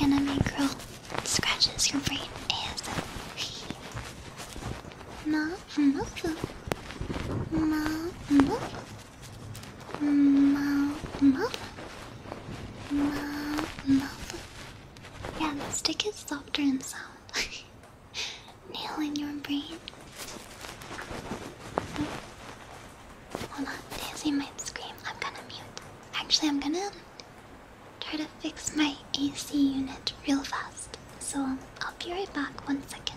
anime girl scratches your brain ASM. Ma mufu. Ma mufu. Ma mufu. Yeah, the stick is softer in sound. Nail in your brain. Hold on, Daisy might scream. I'm gonna mute. Actually, I'm gonna try to fix my AC unit real fast. So um, I'll be right back one second.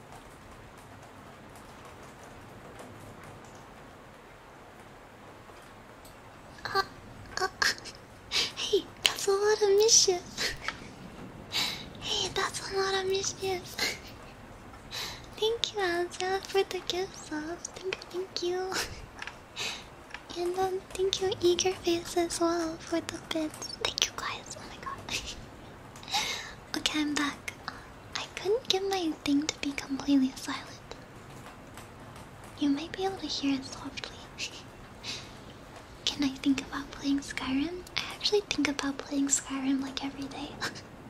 Uh, uh, hey, that's a lot of mischief. hey, that's a lot of mischief. thank you, Alza, for the gifts. sub. Thank, thank you. and um, thank you, Eager Face, as well, for the bits. Thank you, guys. Oh my god. okay, I'm back. Uh, I couldn't get my thing to be completely silent. You might be able to hear it softly. Can I think about playing Skyrim? I actually think about playing Skyrim like every day.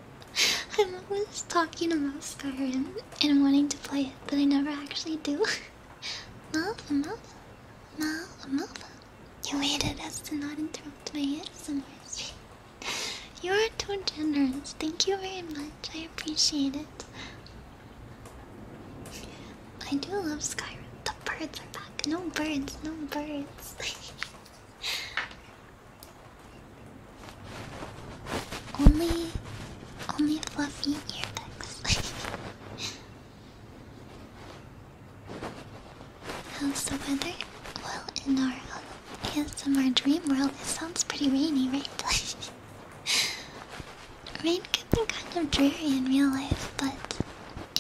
I'm always talking about Skyrim and wanting to play it, but I never actually do. Mouth, mouth, mouth, mouth. You waited as to not interrupt my ASMR stream. You are too generous. Thank you very much. I appreciate it. I do love Skyrim. The birds are back. No birds, no birds. only only fluffy earbuds. How's the weather? Well in our in our Dream World, it sounds pretty rainy, right? Rain can be kind of dreary in real life, but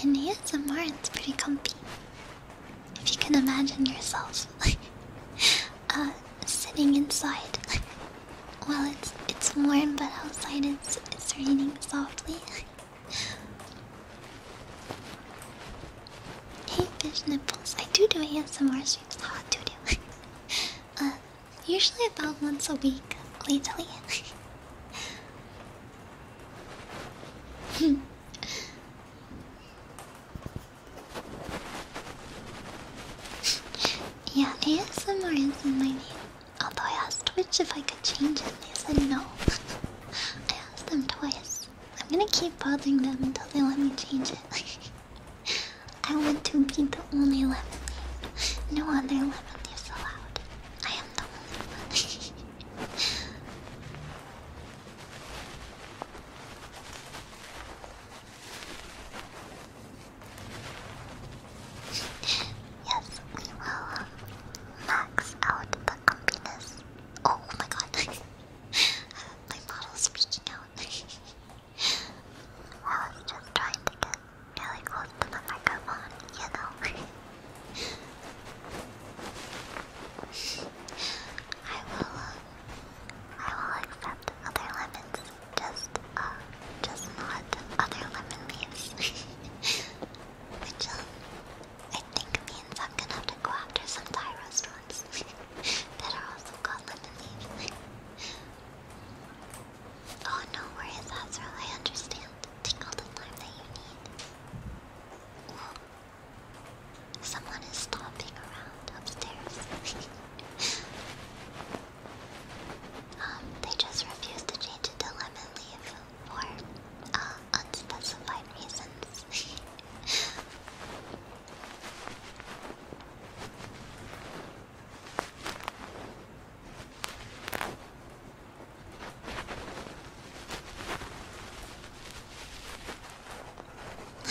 in ASMR it's pretty comfy. If you can imagine yourself uh, sitting inside. well, it's it's warm, but outside it's, it's raining softly. Hey, fish nipples. I do do ASMR streams. How I do uh, usually about once a week lately. Hmm. yeah, ASMR is in my name. Although I asked Twitch if I could change it, and they said no. I asked them twice. I'm gonna keep bothering them until they let me change it. I want to be the only lemon No other lemon is allowed. I am the only one. yes, we will um, max out the comfiness. Oh my god. my model speaking out. I was just trying to get really close to the microphone, you know. I will, uh, I will accept other lemons, just, uh, just not other lemon leaves. Which, uh, I think means I'm gonna have to go after some Tyros oh, no worries, that's I understand. Take all the time that you need. Someone is stomping around upstairs. um, they just refuse to change it to lemon leaf for unspecified reasons. I'm in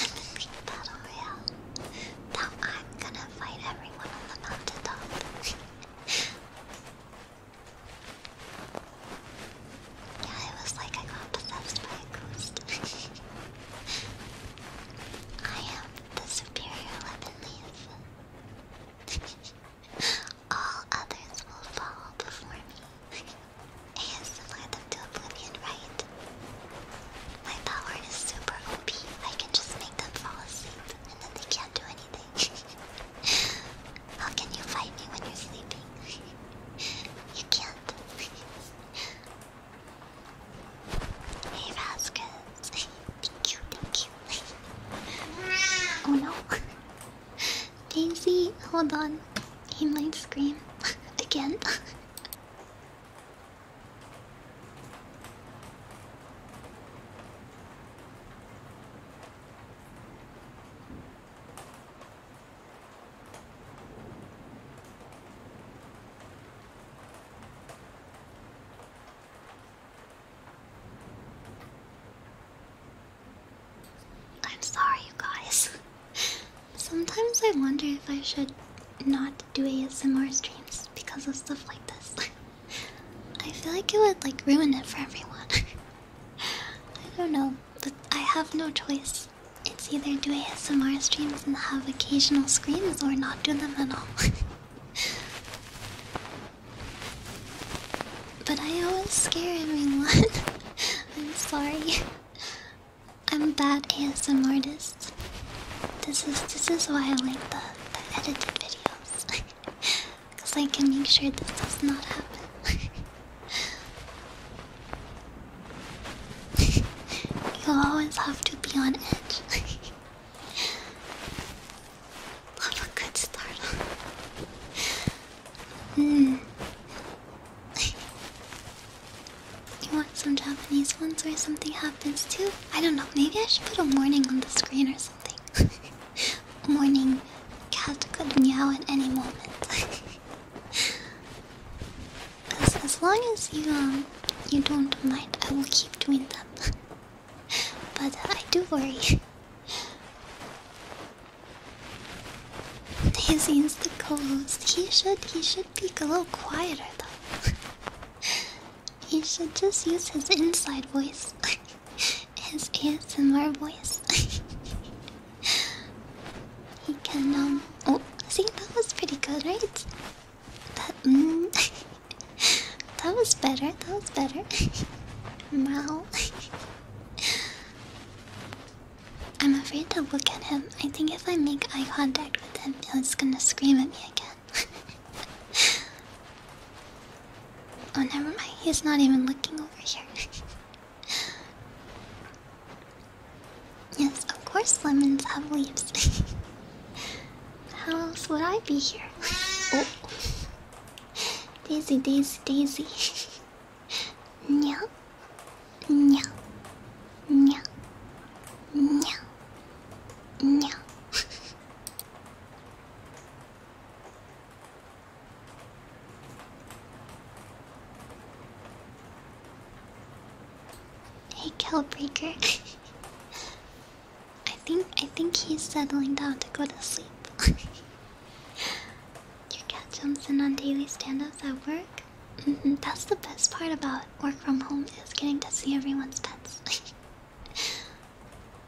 Big Battle Royale. Now I'm gonna fight everyone on the mountain Yeah, it was like I got possessed by a ghost. I am the superior weapon leaf. All others will fall before me. ASMR them to oblivion, right? My power is super OP. I can just make them fall asleep and then they can't do anything. How can you fight me when you're sleeping? you can't. Hey Vasquez, thank you, thank you. oh no, Daisy, hold on. He might scream again. I'm sorry, you guys. Sometimes I wonder if I should not do ASMR streams because of stuff like this. I feel like it would like ruin it for everyone. I don't know, but I have no choice. It's either do ASMR streams and have occasional screams or not do them at all. but I always scare everyone. I'm sorry. I'm bad ASM artist. This is this is why I like the, the edited videos. Cause I can make sure this does not happen you always have to be on edge. Love a good start. mm. you want some Japanese ones where something happens too? I don't know, maybe I should put a warning on the screen or something. warning, cat could meow at any moment. As, long as you um you don't mind, I will keep doing them. but uh, I do worry. Daisy's the co He should he should be a little quieter though. he should just use his inside voice, his ASMR voice. he can um. Oh, see that was pretty good, right? That, mm, that was better. That was better. Wow. I'm afraid to look at him. I think if I make eye contact with him, he's gonna scream at me again. oh, never mind. He's not even looking over here. Yes, of course lemons have leaves. How else would I be here? Oh. Daisy, Daisy, Daisy. Nya. Nya. Nya. Nya. Nya. Hey, Cowbreaker. I think I think he's settling down to go to sleep. Your cat jumps in on daily stand-ups at work. Mm-hmm, that's the best part about work from home is getting to see everyone's pets.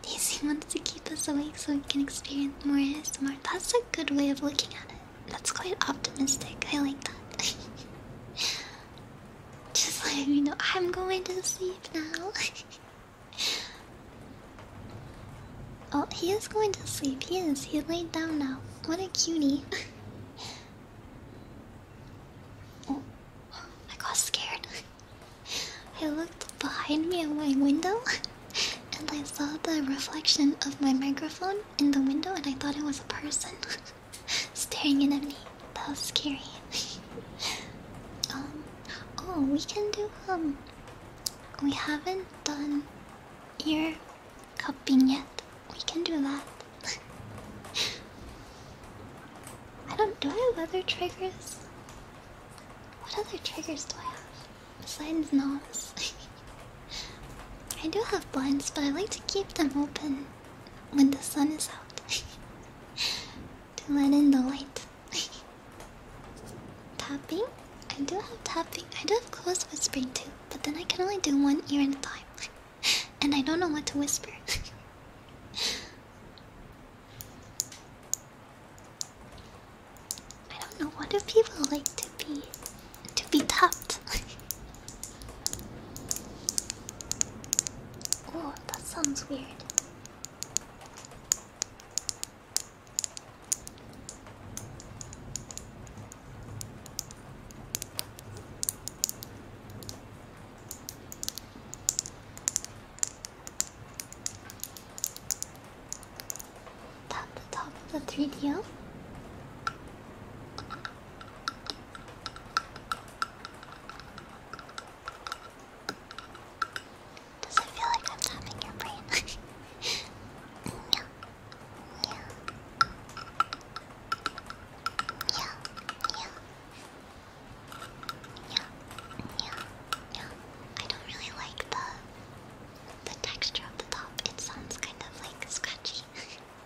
Daisy wants to keep us awake so we can experience more ASMR. That's a good way of looking at it. That's quite optimistic. I like that. Just letting me know. I'm going to sleep now. oh, he is going to sleep. He is. He laid down now. What a cutie. oh, I got scared. I looked behind me at my window and I saw the reflection of my microphone in the window and I thought it was a person. staring at me. That was scary. um, oh, we can do um. We haven't done ear cupping yet. We can do that. I don't. Do I have other triggers? What other triggers do I have besides knobs? I do have blinds, but I like to keep them open when the sun is out to let in the light. tapping? I do have tapping. I do have close whispering too, but then I can only do one ear at a time. and I don't know what to whisper. I don't know. What do people like to be to be tapped? Oh, that sounds weird. Tap the top of the 3DO. Does it feel like I'm tapping your brain? yeah. Yeah. Yeah. Yeah. Yeah. Yeah. Yeah. I don't really like the the texture of the top. It sounds kind of like scratchy.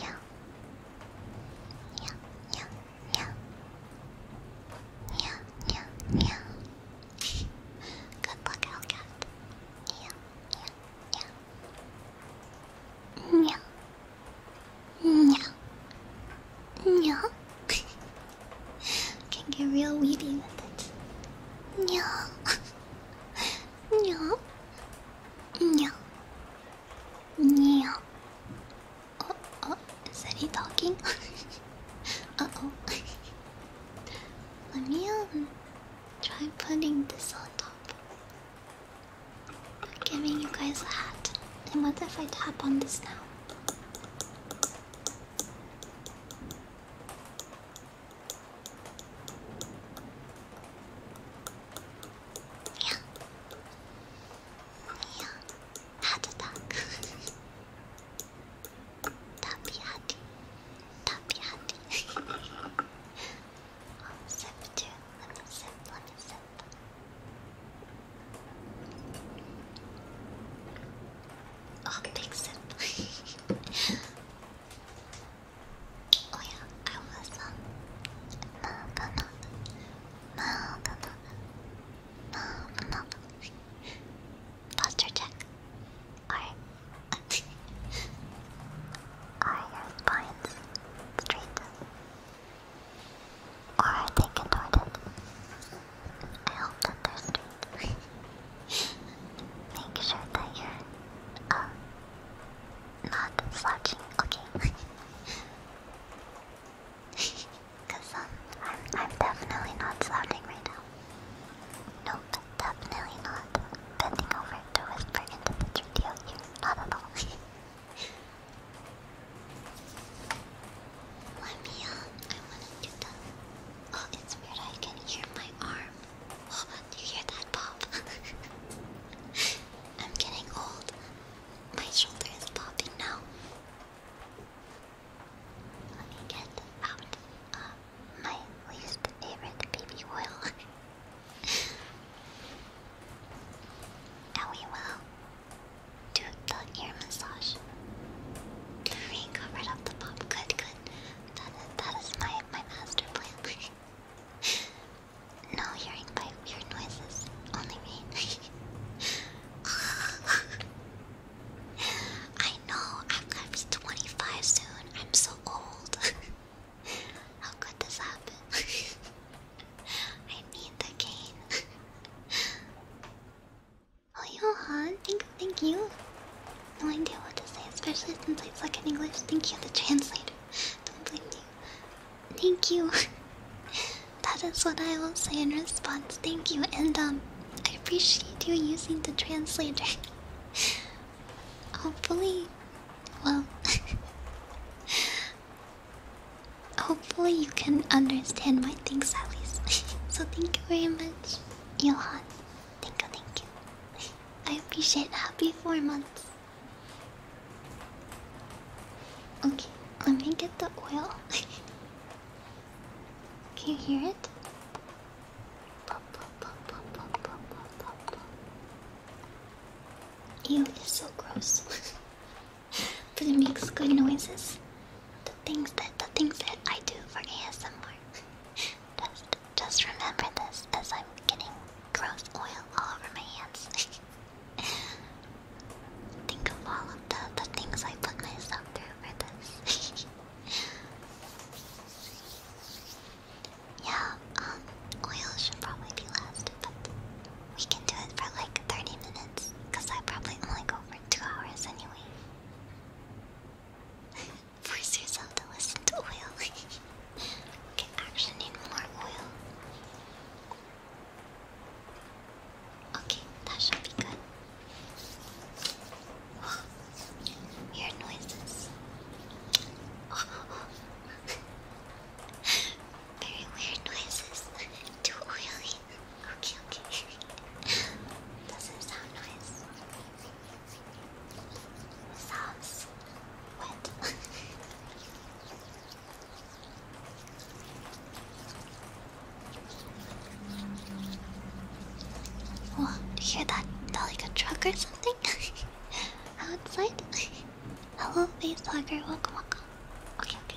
yeah, yeah, yeah, yeah, yeah, yeah, yeah. Good luck, Hellcat. Yeah, yeah, yeah. Yeah. Yeah. Yeah. Can get real weedy with it. Yeah. Yeah. Yeah. Yeah. Oh, oh, is that he talking? uh oh. Let me um, try putting this on top. I'm giving you guys a hat. And what if I tap on this now? Yeah. Yeah. Heart attack. Tappy Hattie. Tappy Hattie. I'll sip too. Let me sip, let me sip. Oh, big sip. Oh yeah, I was um no no no no no no no no no posture check. Alright. Are your straight? Or are they contorted? I hope that they're straight. Make sure that your uh, um, not slouching, okay. Cause um, I'm, I'm definitely not slouching right now. Nope, definitely not. Bending over to whisper into the studio here, not at all. Let me out, uh, I wanna do that. Oh, it's weird, I can hear my arm. do you hear that? pop. I'm getting old. My shoulder is popping now. Let me get out my least favorite baby oil. and we will do the ear massage. The rain covered up the pop. Good, good. that is my, my master plan. No hearing by weird noises. Only me. I know. I'm gonna be 25 soon. I'm so old. How could this happen? I need the cane. oh, Johan, thank, thank you. No idea what to say, especially since I speak English. Thank you, the translator. Don't blame me. Thank you. that is what I will say in response. Thank you, and um, I appreciate you using the translator. Hopefully, well, hopefully you can understand my things at least. so thank you very much, Johan. Thank you, thank you. I appreciate happy four months. Okay, let me get the oil. Can you hear it? You it's so gross. but it makes good noises. The things that the things that I do for ASMR. just just remember this as I'm getting gross oil all over my hands. Think of all of the, the things I put myself through for this. yeah, um, oil should probably be last, but we can do it for like 30 minutes, because I probably only go for two hours anyway. Force yourself to listen to oil. okay, actually need more oil. Okay, that should be good. weird noises. Very weird noises. Too oily. Okay, okay. Doesn't sound nice. Sounds wet. Oh, do you hear that? Is that like a truck or something? Outside? Hello, face hugger. Welcome, welcome. Okay, okay.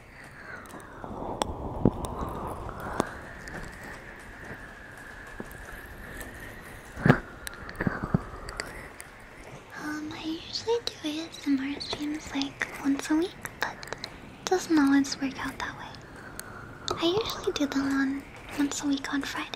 Um, I usually do it. ASMR streams like once a week, but it doesn't always work out that way. I usually do them on once a week on Fridays.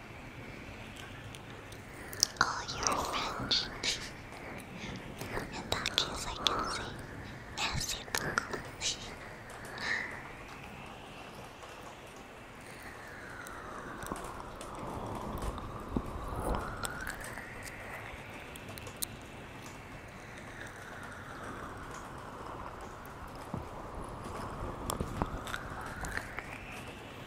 Oh, you're In that case, I can say merci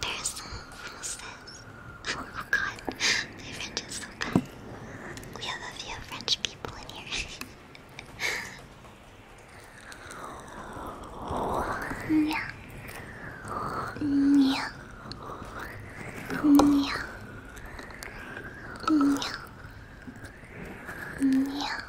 there's some almost Oh, god, my French is so bad. We have a few French people in here. yeah. Yeah. Yeah. Yeah. Yeah.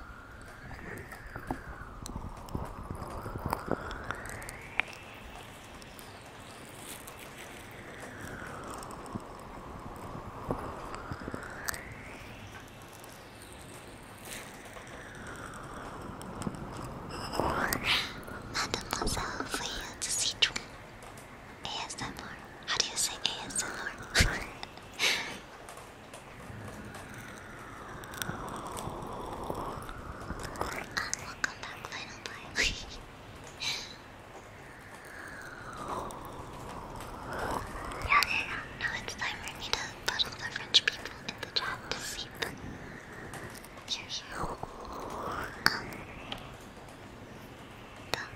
Mademoiselle, for you to see true. ASMR. How do you say ASMR? uh, welcome back, final boy. Yeah, yeah, yeah. Now it's time for me to put all the French people in the chat to sleep. Here, here. Um. Deux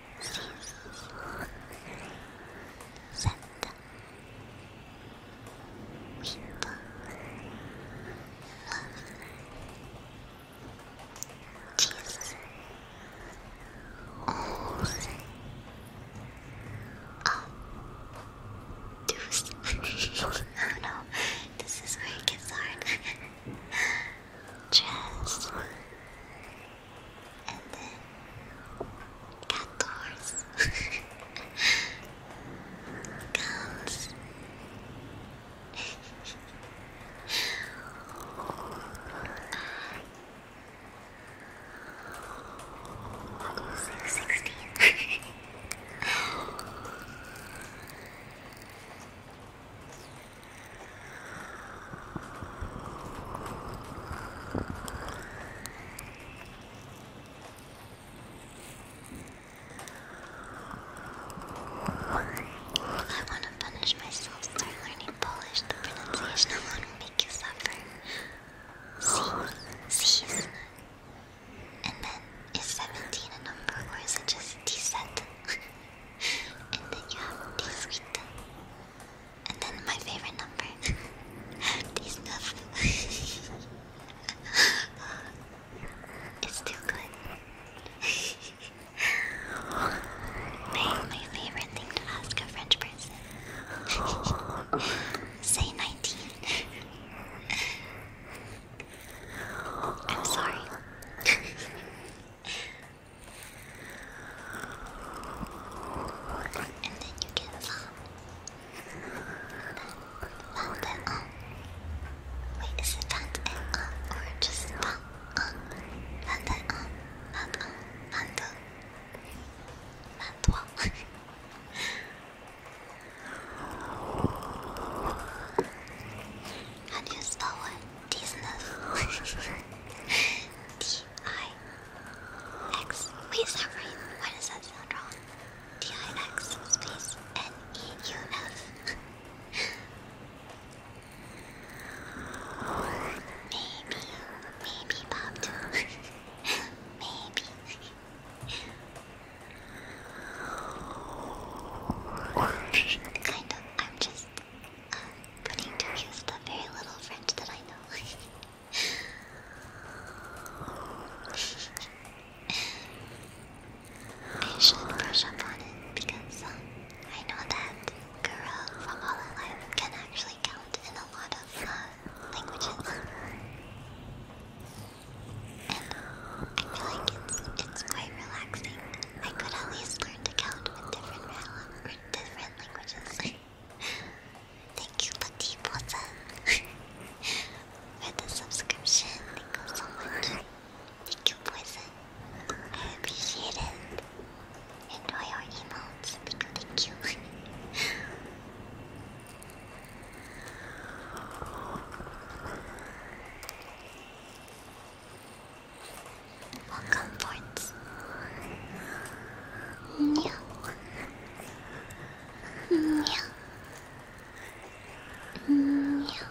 six, seven, eight, nine, ten, eleven, oh, deuce. oh no, this is where it gets hard dress, and then cat doors, guns. Six sixteen. I want to punish myself, start learning Polish. The pronunciation alone will make you suffer. See, sees. And then, is 17 a number or is it just descent? and then you have a piece week. And then my favorite number. These stuff. it's too good. my favorite thing to ask a French person. Say 19. I'm sorry. And then you can farm. Pump it on. Wait, is it pant it on or just pump on? Pant it on, pant on, pant on. Pant on. How do you spell it? Disney. Wait, is that right? Why does that sound wrong? D-I-X space N-E-U-F. maybe, maybe Bob too. maybe. kind of. I'm just uh, putting to use the very little French that I know. I should brush up on it because um, I know that girl from Holland Life can actually count in a lot of uh, languages. And uh, I feel like it's, it's quite relaxing. I could at least learn to count with different in Thank you, Petit Pozen, for the subscription. Thank you Poison. I appreciate it. Enjoy your emotes. thank you. Welcome, Lords. Yeah. Yeah. Yeah.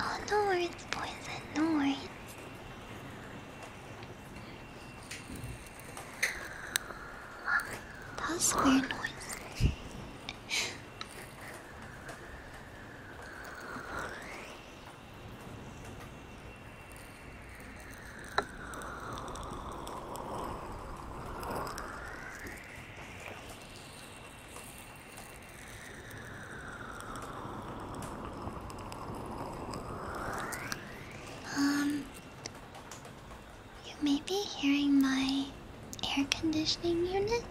Oh, no worries, poison. No worries. That weird noise. Um, you may be hearing my air conditioning unit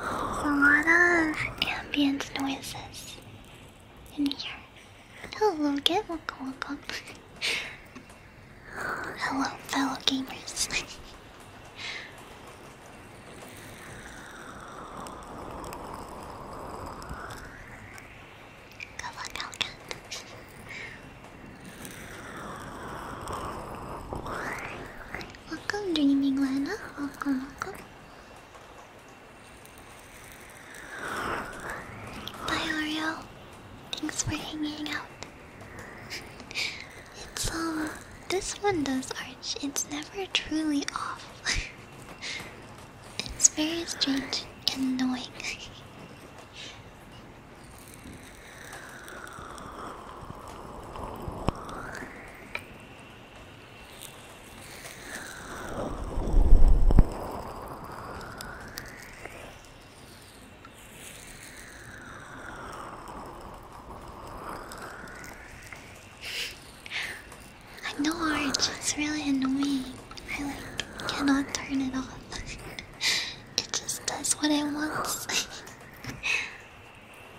a lot of ambient noises in here. Hello, get welcome, welcome. Hello, fellow gamers. Good luck, Alcat. Welcome, Dreaming Lena. Welcome, Bye, Oreo. Thanks for hanging out. it's, um, this one does arch. It's never truly off. it's very strange and annoying. I know orange, it's really annoying. I like cannot turn it off. it just does what it wants.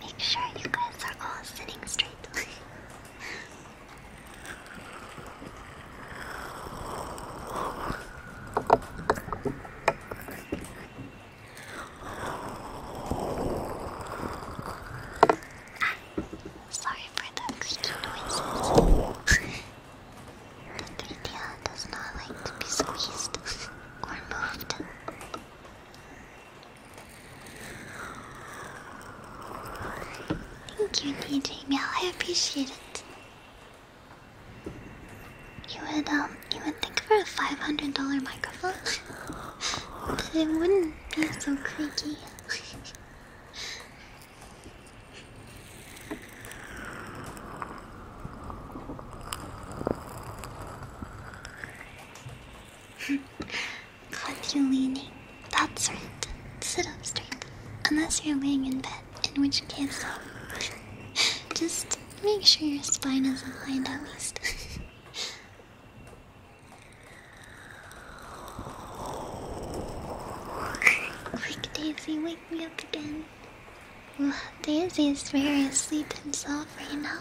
Make sure you guys are all sitting straight. sorry for the extra noises. the tortilla does not like to be squeezed or moved. Thank you, DJ Meow. I appreciate it. You would um, you would think for a five hundred dollar microphone, it wouldn't be so creaky. Caught you leaning, Sit up straight. Unless you're laying in bed, in which case, just make sure your spine isn't lined at least. Quick, Daisy, wake me up again. Daisy is very asleep himself right now.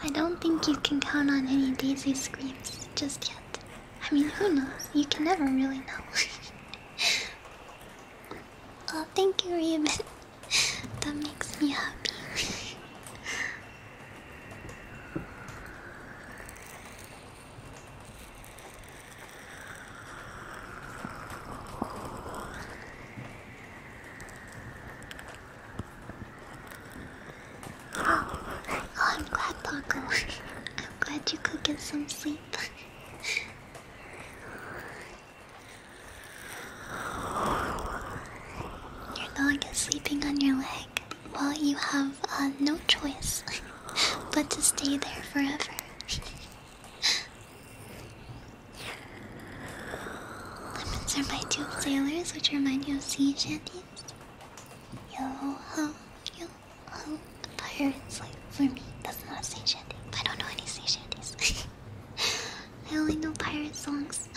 I don't think you can count on any Daisy screams just yet. I mean, who knows? You can never really know. oh, thank you, Raven. that makes me happy. Oh, I'm glad, Paco. I'm glad you could get some sleep. Your dog is sleeping on your leg. while you have uh, no choice but to stay there forever. Lemons are my two sailors, which remind me of sea shanties. Yo ho, yo ho. A pirate's like, for me, that's not a sea shanty. I don't know any sea shanties. I only know pirate songs.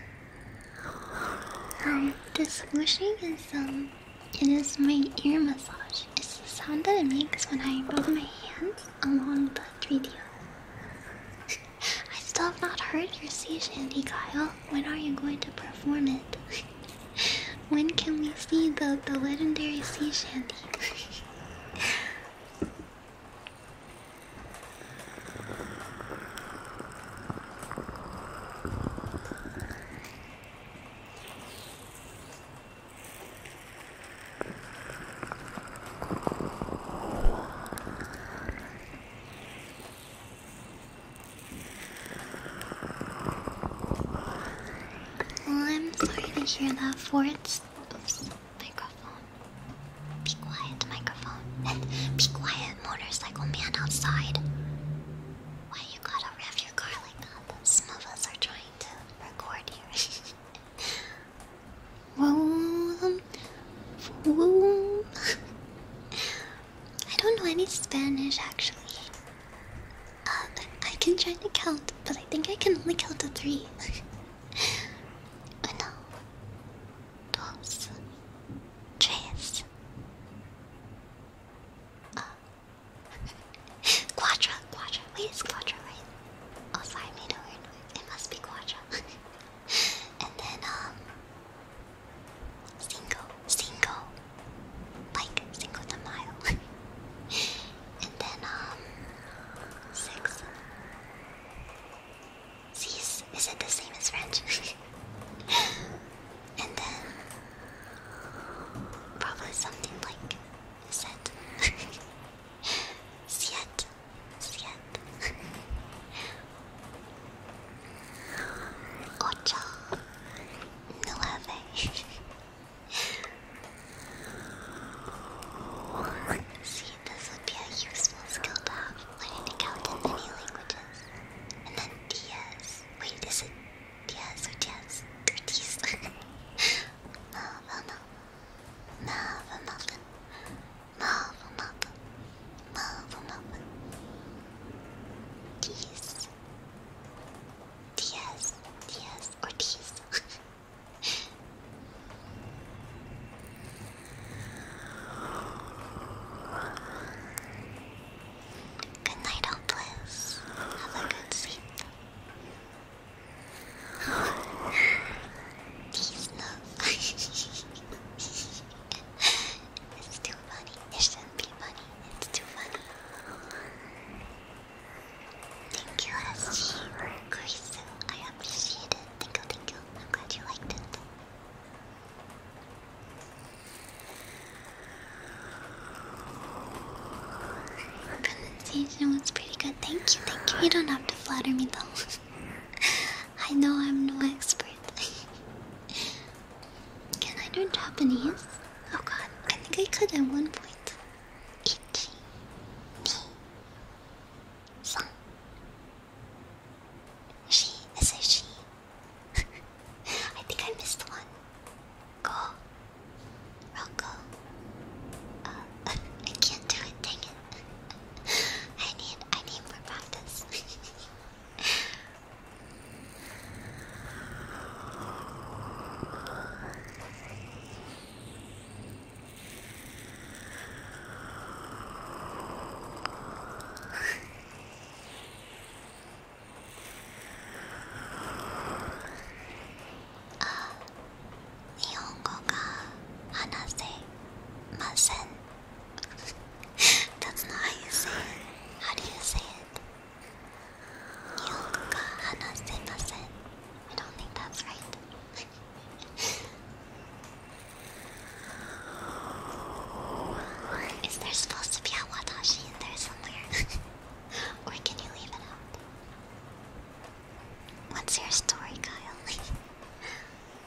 um, the swooshing is, um, it is my ear massage. It's the sound that it makes when I rub my hands along the 3DO. I still have not heard your sea shanty, Kyle. When are you going to perform it? when can we see the, the legendary sea shanty? Well, I'm sorry to hear that for microphone. Be quiet, microphone. And be quiet, motorcycle man outside. Why you gotta rev your car like that? Some of us are trying to record here. I don't know any Spanish actually. Uh, I can try to count, but I think I can only count to three. Uno, dos, tres, uh, quadra, quadra. Wait, quadra, right? Oh, sorry, made a weird noise. It must be quadra. and then um single single like single the mile and then um six Six is it the same as French? and then probably something like set. Siet. Sweet. See, this would be a useful skill to have. Learning to count in many languages. And then Diaz. Wait, is it Diaz or Diaz? Or Diaz? no, no, no. No, nothing. Love, love, love, love. Tease. Tease, tease, or tease. Good night, all Have a good sleep. Oh, please no. too funny. It shouldn't be funny. It's too funny. Thank you, SG. Grace, I appreciate it. Thank you, thank you. I'm glad you liked it. Pronunciation was pretty good. Thank you, thank you. You don't have to flatter me though. I know I'm no expert. Can I learn Japanese? Oh god, I think I could at one point. Ichi, ni, san. She is a I think I missed one. Go. Rocco. Uh, I can't do it, dang it. I need I need more practice. oh, 日本語が話せません how do you say it? 日本語が話せません I don't think that's right. Is there supposed to be a watashi in there somewhere? or can you leave it out? What's your story, Kyle?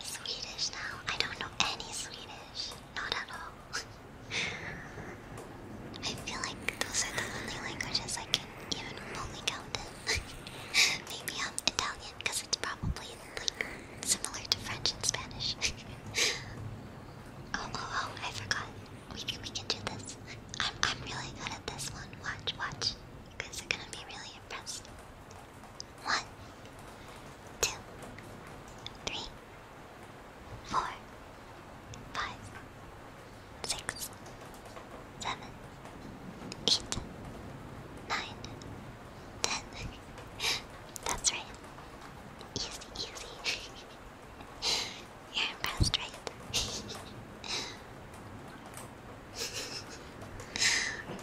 Swedish now? I don't know any Swedish. Not at all. I feel like those are the only languages I can even remotely count Maybe I'm Italian because it's probably like similar to French and Spanish. Oh, oh, oh, I forgot. We can we can do this. I'm I'm really good at this one. Watch, watch. You guys are gonna be really impressed. One, two, three, four, five, six, seven eight, nine, ten. That's right. Easy, easy. You're impressed, right?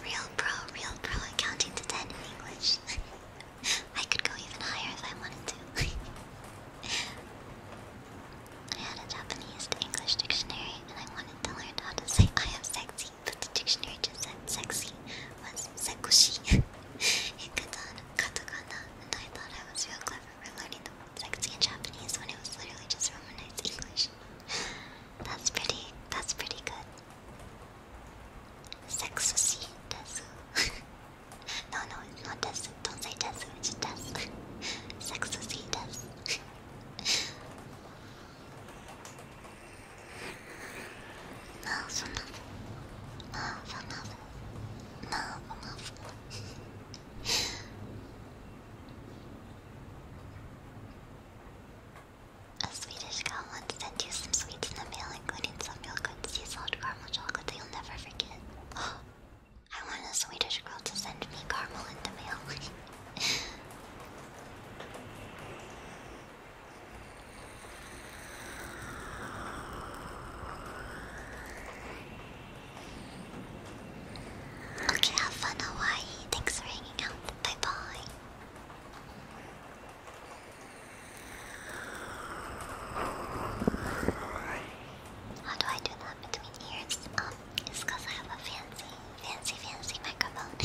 real pro, real pro at counting to ten in English. I could go even higher if I wanted to. I had a Japanese to English dictionary and I wanted to learn how to say I am sexy, but the dictionary just said sexy was sekushi. it got on katakana, and I thought I was real clever for learning the word sexy in Japanese when it was literally just romanized English. that's pretty, that's pretty good. Sexushi desu. no, no, it's not desu. Don't say desu, it's desu. Sexushi desu. Mouth enough. enough. enough. A Swedish girl once sent you some sweets in the mail, including some real good sea salt caramel chocolate that you'll never forget. I want a Swedish girl to send me caramel in the mail. okay, have fun, Hawaii. Thanks for hanging out. Bye bye. How do I do that between ears? Um, it's because I have a fancy, fancy, fancy microphone.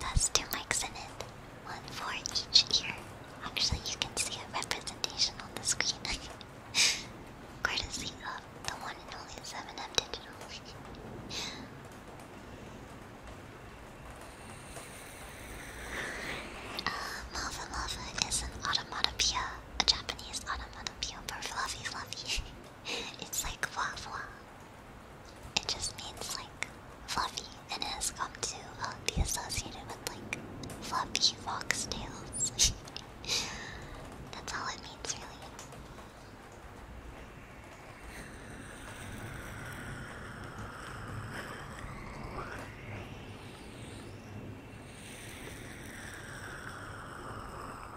That's two mics in it, one for each ear. Actually, you can see a representation on the screen. Courtesy of the one and only 7M Digital. uh, Malva Malva is an automatopoeia, a Japanese automatopoeia for fluffy fluffy. it's like wah wah. It just means like fluffy, and it has come to um, be associated with like fluffy fox tails. That's all it means, really.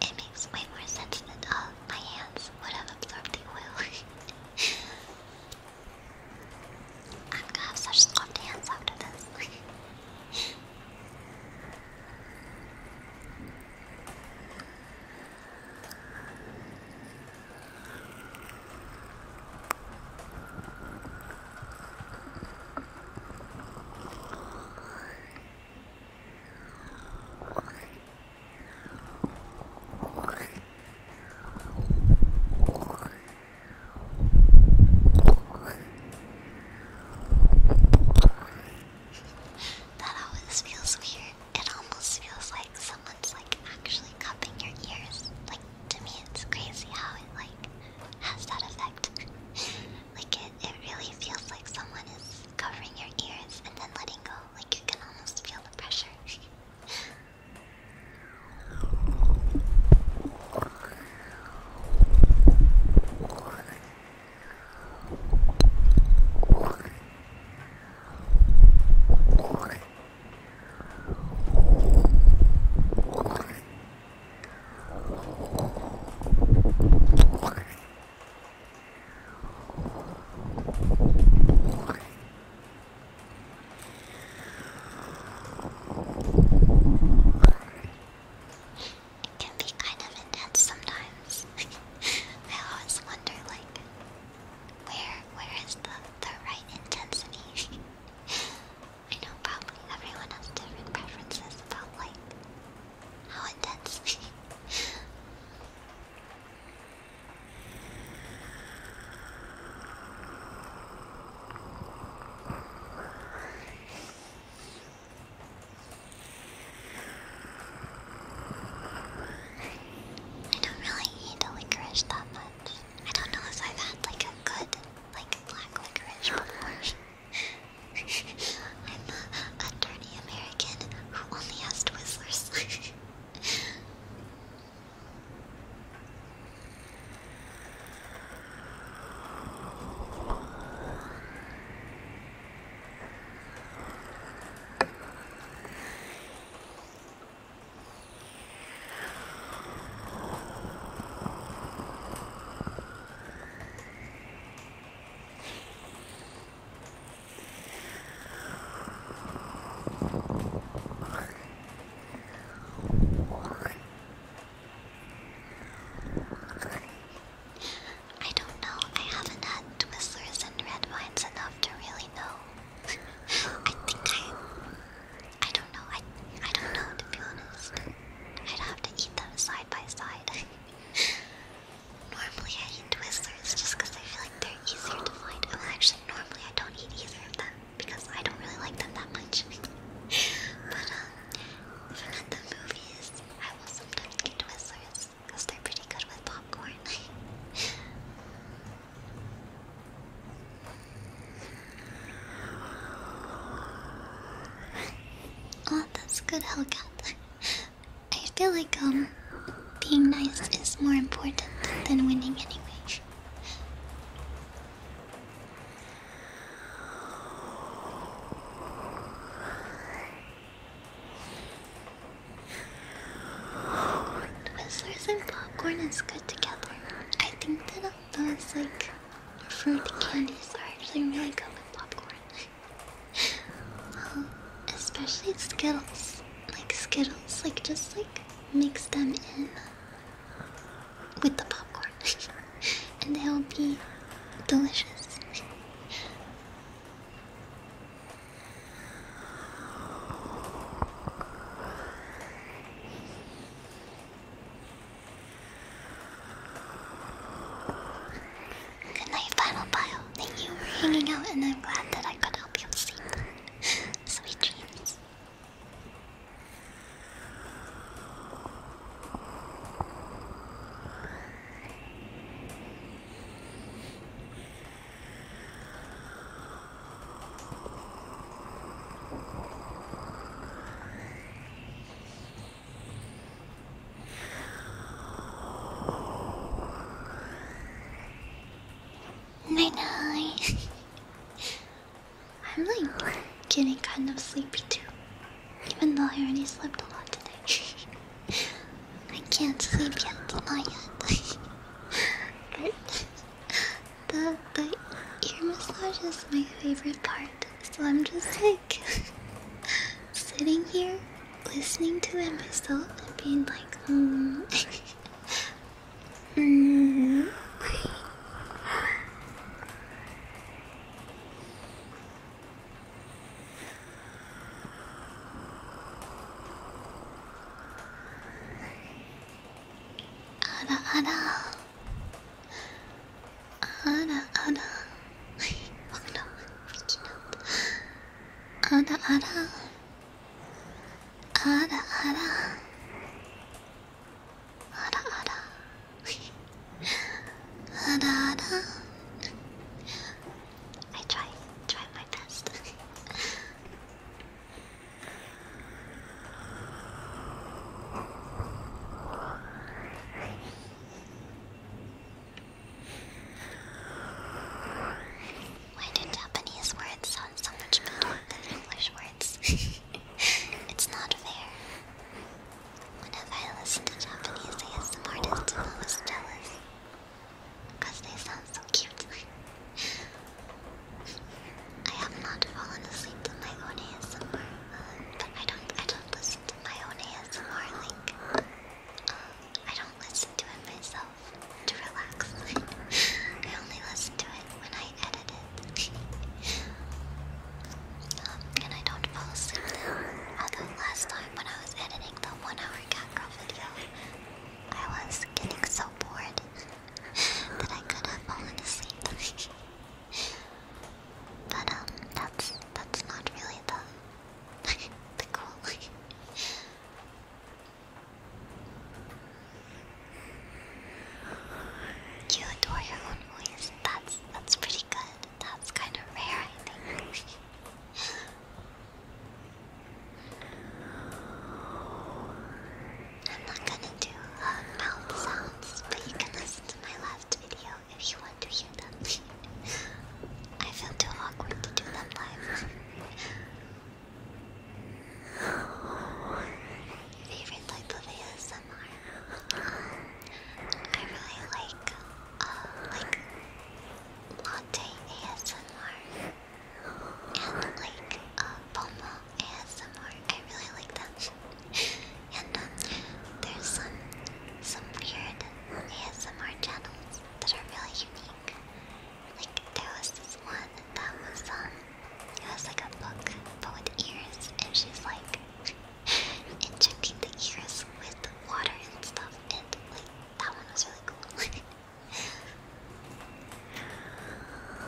it makes way more sense that all oh, my hands would have absorbed the oil. I'm gonna have such soft hands after this. That always feels weird. It almost feels like someone's like actually cupping your ears. Like to me, it's crazy how it like has that effect. like it, it really feels like someone is covering your ears and then letting go, like you can almost feel the pressure. It can be kind of intense sometimes. I always wonder, like, where where is the the right intensity? I know probably everyone has different preferences about like how intense. I don't really eat licorice that much. I don't know if i had like a good, like black licorice before. I'm a, dirty American who only has Twizzlers. I don't know. I haven't had Twizzlers and red wines enough to really know. I think I. I don't know. I, I don't know, to be honest. I'd have to eat them side by side. Normally I eat Twizzlers just because I feel like they're easier to find. Oh, actually, normally I don't eat either of them because I don't really like them that much. but um, if i the movies, I will sometimes get Twizzlers because they're pretty good with popcorn. oh, that's good, Hellcat. I feel like um being nice is more important than winning anyway. Twizzlers and popcorn is good together. I think that those like fruit candies are actually really good with popcorn. especially Skittles. Like Skittles, like just like mix them in with the popcorn, and they'll be delicious. Good night, Final Pile. Thank you for hanging out, and I'm glad that I could help you sleep. Sweet dreams. Night night. I'm like getting kind of sleepy too. Even though I already slept a lot today. I can't sleep yet, not yet. The the ear massage is my favorite part, so I'm just like sitting here listening to it myself and being like, hmm. mm. Mm-hmm. Ada, ada, ada, ada. oh no, I'm freaking out. Ada ada. Ada ada. Ada ada. I try, try my best. Why do Japanese words sound so much better than English words? it's not fair. Whenever I listen to Japanese ASM artists, I'm jealous. Because they sound so cute. I have not fallen asleep to my own ASMR, but I don't, I don't listen to my own ASMR, like, um, I don't listen to it myself to relax. I only listen to it when I edit it. Um, and I don't fall asleep Although last time when I was editing the one hour cat video, I was getting so bored that I could have fallen asleep. but um that's that's not really the the goal. You adore your own voice. That's that's pretty good. That's kind of rare, I think. I'm not gonna do uh, mouth sounds, but you can listen to my last video if you want to hear them. I feel too awkward to do them live. Favorite type of ASMR? I really like, uh, like latte ASMR and like uh, Boma ASMR. I really like that. and um, there's some some weird ASMR channels that are really unique. Like there was this one that was um it was like a book but with ears and she's like injecting the ears with water and stuff and like that one was really cool.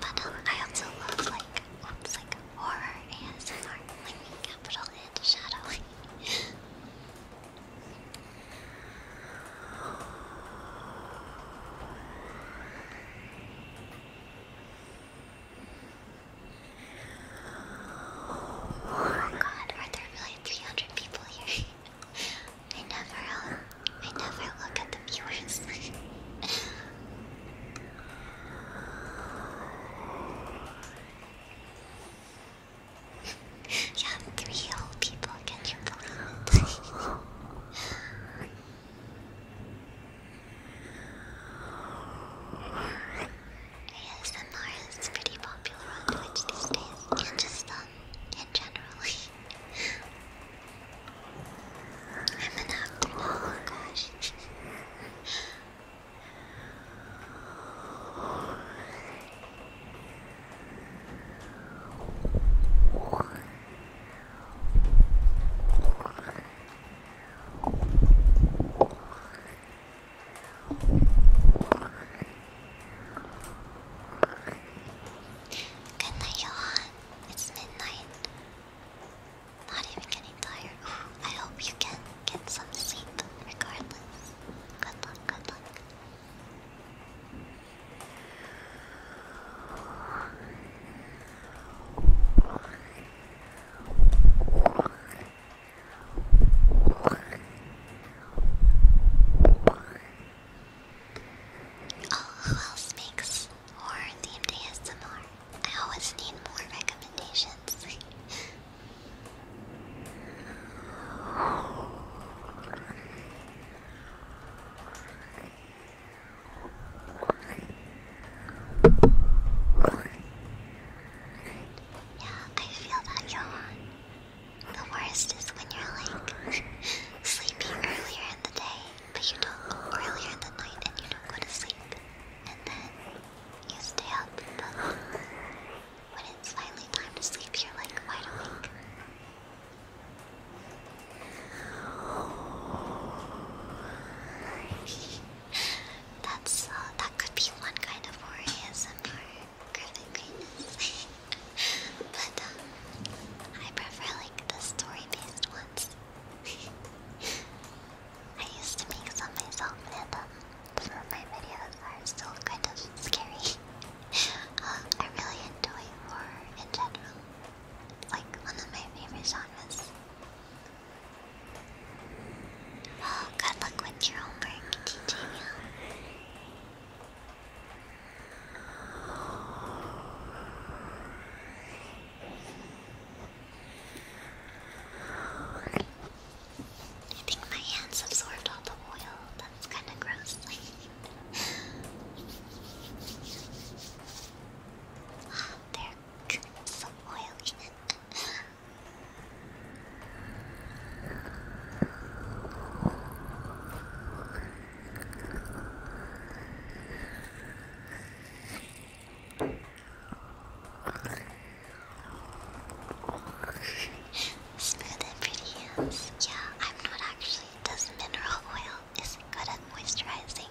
but um, I also love like like horror ASMR, like capital and shadow. Oh my god, are there really 300 people here? I never, uh, I never look at the viewers. You three old people, can you believe ASMR is pretty popular on Twitch these days, and just in generally. I'm an actor now, oh gosh. Good night, Johan. It's midnight. Not even getting tired. I hope you can get some sleep regardless. Good luck, good luck. Oh, who else makes or horror themed ASMR? I always need more recommendations. Yeah, I feel that, yawn. The worst is when you're like sleeping earlier in the day, but you don't go earlier in the night and you don't go to sleep. And then you stay up, when it's finally time to sleep, you're like wide awake. That's uh, that could be one kind of worryism or graphic greatness. but um, I prefer like the story-based ones. I used to make some myself, and um, some of my videos are still kind of scary. I really enjoy war in general. like one of my favorite genres. Oh, good luck with your homework, teaching I think my hands absorbed all the oil it's kind of gross. ah, they're so oily. Smooth and pretty hands. Yeah, I'm not actually because mineral oil is good at moisturizing.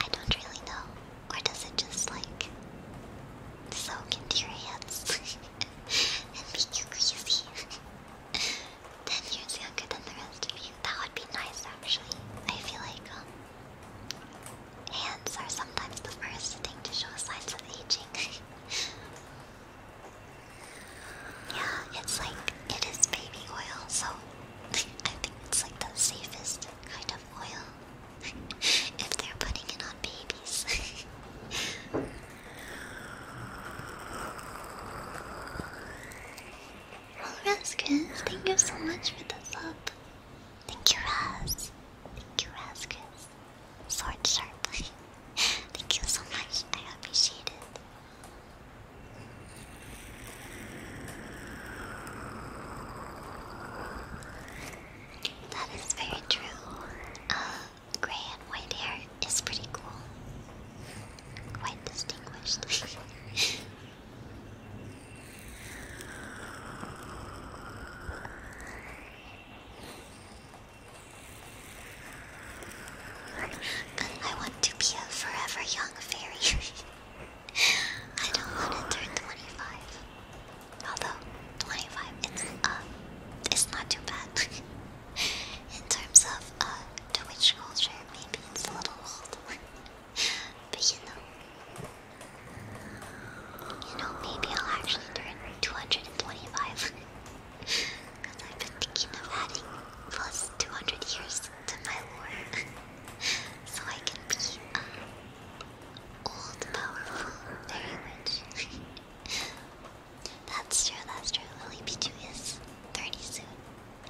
I don't really know. Or does it just like soak into your hands and make you greasy? Ten years younger than the rest of you. That would be nice actually. I feel like um, hands are sometimes the first thing to show signs of aging. Yeah, it's like it is baby oil, so I think it's like the safest kind of oil if they're putting it on babies. Well, Raskus, thank you so much for the sub. Thank you, Raz. Thank you, Raskus sword sharp. Thank you so much. I appreciate it. That is very true. Uh, gray and white hair is pretty cool. Quite distinguished. I want to be a forever young fairy. I don't want to turn 25. Although 25, it's uh, it's not too bad. In terms of uh, Twitch culture, maybe it's a little old, but you know, you know, maybe I'll actually turn 225. Because I've been thinking of adding plus 200 years to my lore. so I can be um, old, powerful, very rich. that's true, that's true. Lily Pichu is 30 soon.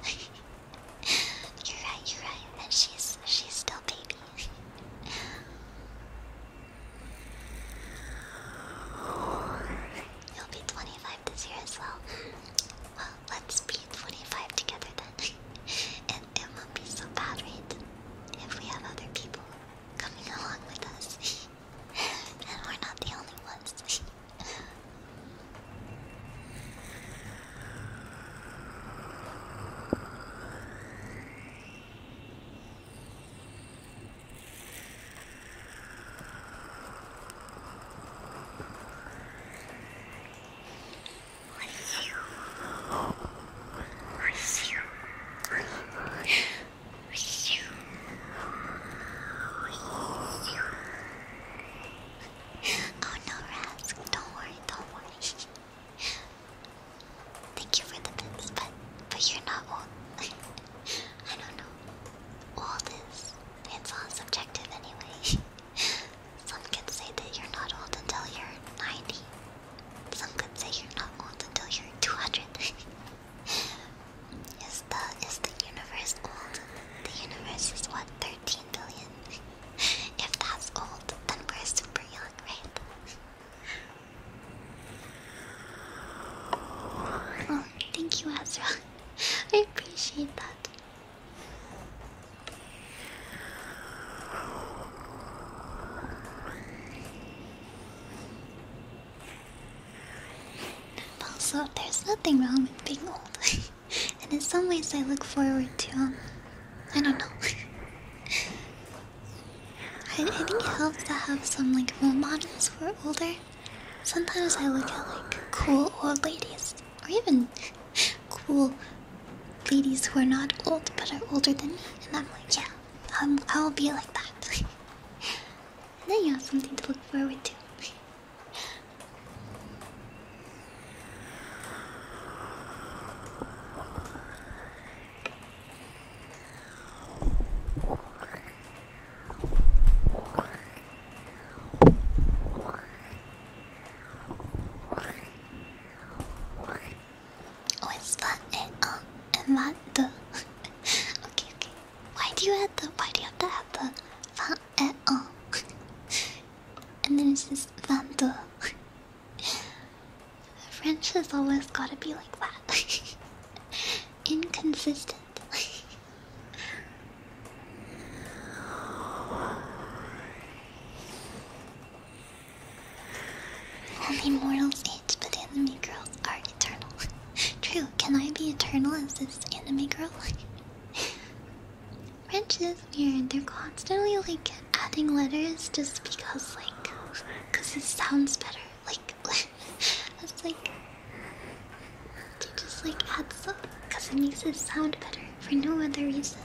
you're right, you're right. And she's she's still baby. You'll be 25 this year as well. Well, let's be 25 together then. and it will be so bad, If we have other people coming along with us. and we're not the only ones. Oh no, Rask, don't worry, don't worry. Thank you for the bits, but but you're not old. I don't know. All this, it's all subjective anyway. Some could say that you're not old until you're 90. Some could say you're not old until you're 200. is, the, is the universe old? The universe is what, 13 billion? if that's old, then we're super young, right? Oh, thank you, Ezra. I appreciate that. also, there's nothing wrong with being old, and in some ways, I look forward to um, I don't know. I, think it helps to have some like role models who older Sometimes I look at like cool old ladies, or even cool ladies who are not old but are older than me, and I'm like, yeah, i um, will be like that. and then you have something to look forward to. Oh, it's that and uh, and that okay, okay. Why do you have the? Why do you have to have the? That and uh, and then it's just that the. French has always got to be like that. Inconsistent. Only mortals age, but anime girls are eternal. True, can I be eternal as this anime girl? French is weird. They're constantly like adding letters just because, like, because it sounds better. Like, I like, to just like add some, because it makes it sound better for no other reason.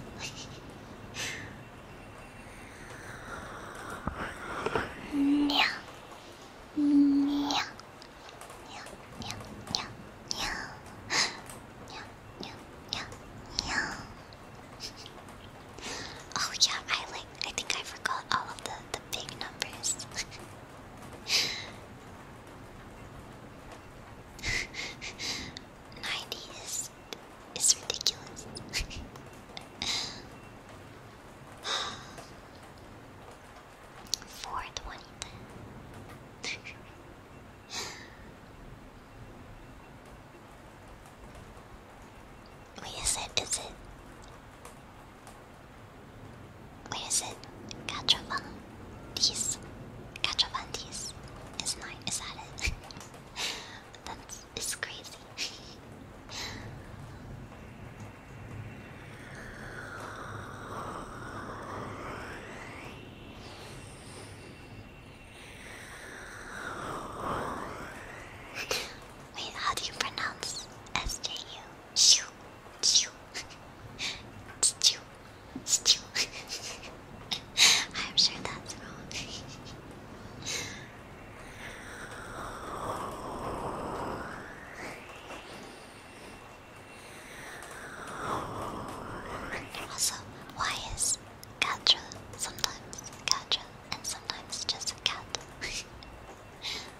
Yeah. Yeah. Yeah. Yeah. Yeah. Yeah. Yeah. Yeah. Yeah. oh yeah, I like I think I forgot all of the the big numbers. Ninety is ridiculous. Four twenty. Wait, its it? Is it? Where is it? Gatravantes. Gatravantes is nine. that it? That's it's crazy. Wait, how do you pronounce SJU? Shoo. Shoo. Stew. Stew. I'm sure that's wrong. also, why is Gatra sometimes Gatra and sometimes just a cat?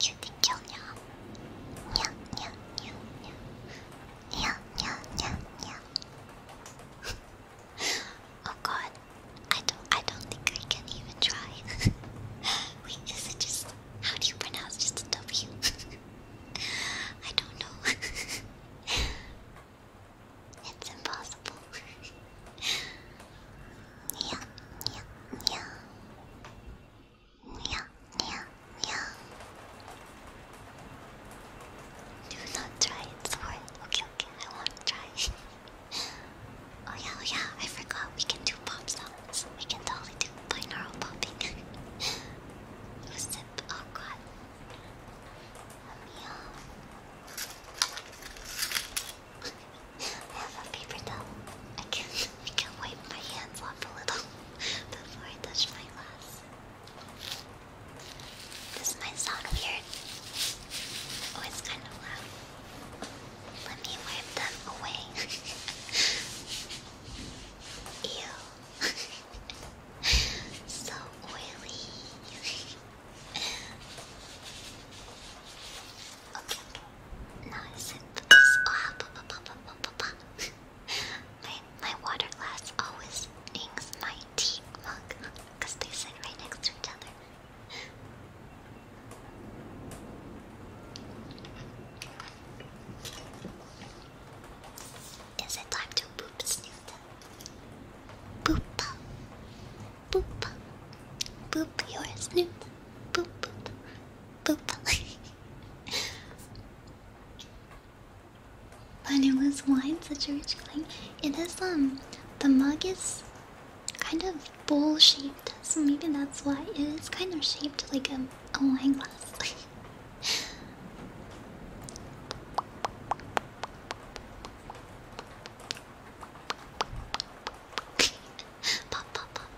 You can kill now. Yeah, yeah, yeah, yeah. Yeah, yeah, yeah, yeah. oh god. I don't I don't think I can even try. Wait, is it just how do you pronounce just a W? I don't know. it's impossible. yeah, yeah, yeah. Yeah, yeah, yeah. Do not try it's for Okay, okay, I want to try. oh yeah, oh yeah, I forgot we can do pop We can totally do binaural popping. oh oh god. Let have a paper towel. I can I can wipe my hands off a little before I touch my glass. This might sound weird. Oh, it's kind of loud. Let me wipe them away. Ew. so oily. Okay. Now I sip this. Oh, bah, bah, bah, bah, bah, bah. my, my water glass always rings my tea mug because they sit right next to each other. Is it time to boop snoot? Boop, boop, boop your snoot, boop, boop, but it was wine, such a rich clang. It is um the mug is kind of bowl shaped, so maybe that's why it is kind of shaped like a, a wine glass. pop, pop, pop.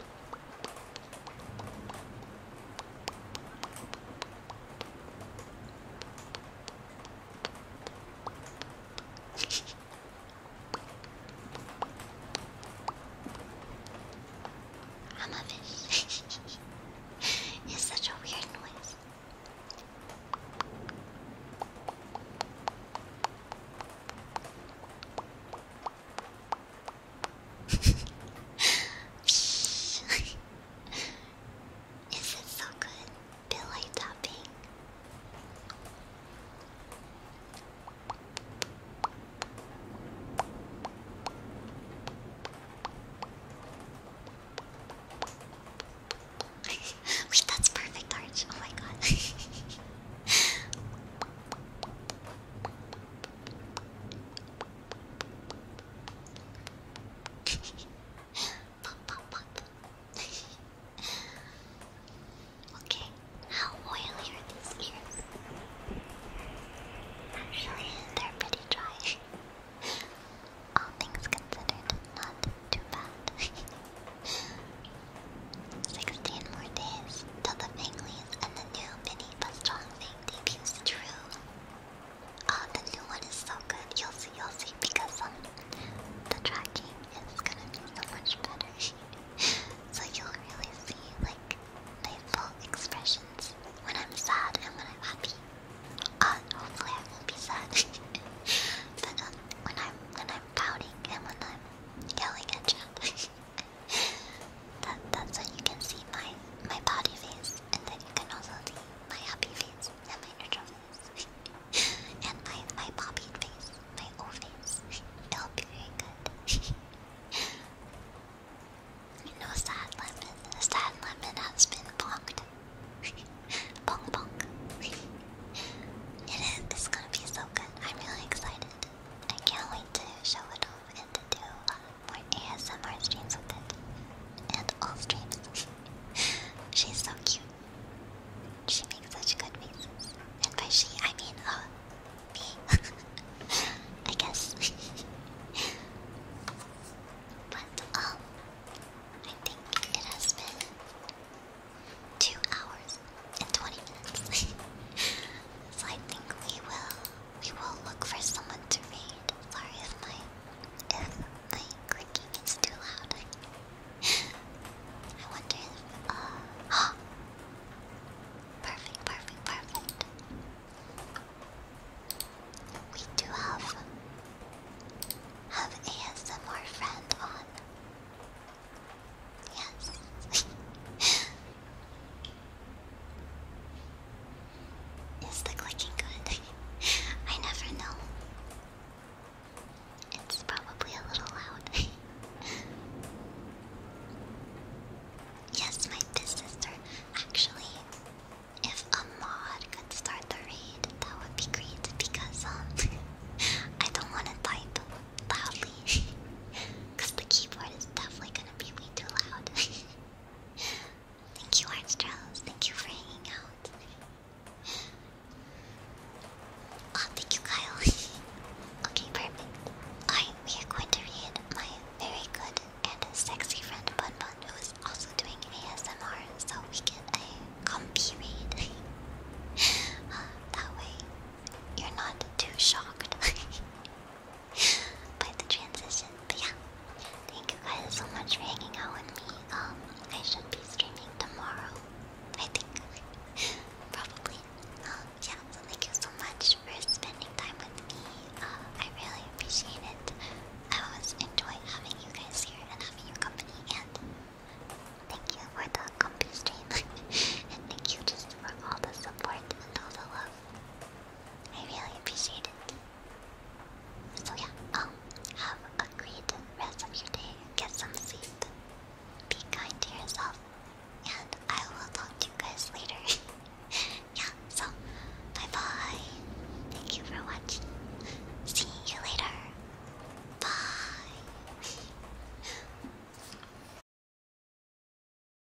I'm a fish. It's such a weird noise. Is it so good? Billy tapping. Wait, that's perfect, Arch. Oh my god. pop, pop, okay, how oily are these ears? Actually, they're pretty dry. All things considered, not too bad. Sixteen more days till the big and the new mini deep, a strong true. Oh, the new one is so good. You'll see, you'll see, because um, the tracking is gonna be so much better. so you'll really see like my expressions when I'm sad and when I'm happy. Uh, hopefully I won't be sad. but um, when I'm when I'm pouting and when I'm yelling at you. that, that's when you can see my my body face, and then you can also see my happy face and my neutral face and my my poppied face, my O face. It'll be very good. no sad lemon. Sad lemon has been bonked. bonk bonk. it is. It's gonna be so good. I'm really excited. I can't wait to show it off and to do more ASMR streams with it. And all streams. She's so cute. She makes such good faces. And by she, I mean, uh, me. I guess. but, um, I think it has been two hours and 20 minutes. so I think we will we will look for someone to read. Sorry if my if my clicking is too loud. I wonder if uh, Perfect, perfect, perfect. We do have have ASMR friend on. Yes. Is the clicking good? I never know. It's probably a little loud. yes, my sister. Actually, if a mod could start the raid, that would be great because um, I don't want to type loudly because the keyboard is definitely Thank you, Armstrong. Thank you for hanging out. Oh, thank you, Kyle. okay, perfect. Alright, we are going to read my very good and sexy friend Bun Bun, who is also doing ASMR, so we get a uh, comfy read. Uh, that way, you're not too shocked by the transition. But yeah, thank you guys so much for hanging out with me. Um, I should be streaming tomorrow, I think, probably. Um, yeah, thank you so much for spending time with me. Uh, I really appreciate it. I always enjoy having you guys here and having your company. And thank you for the comfy stream, and thank you just for all the support and all the love. I really appreciate it. So yeah, um, have a great rest of your day. Get some sleep. Be kind to yourself. And I will talk to you guys later. yeah, so bye bye. Thank you for watching. See you later. Bye.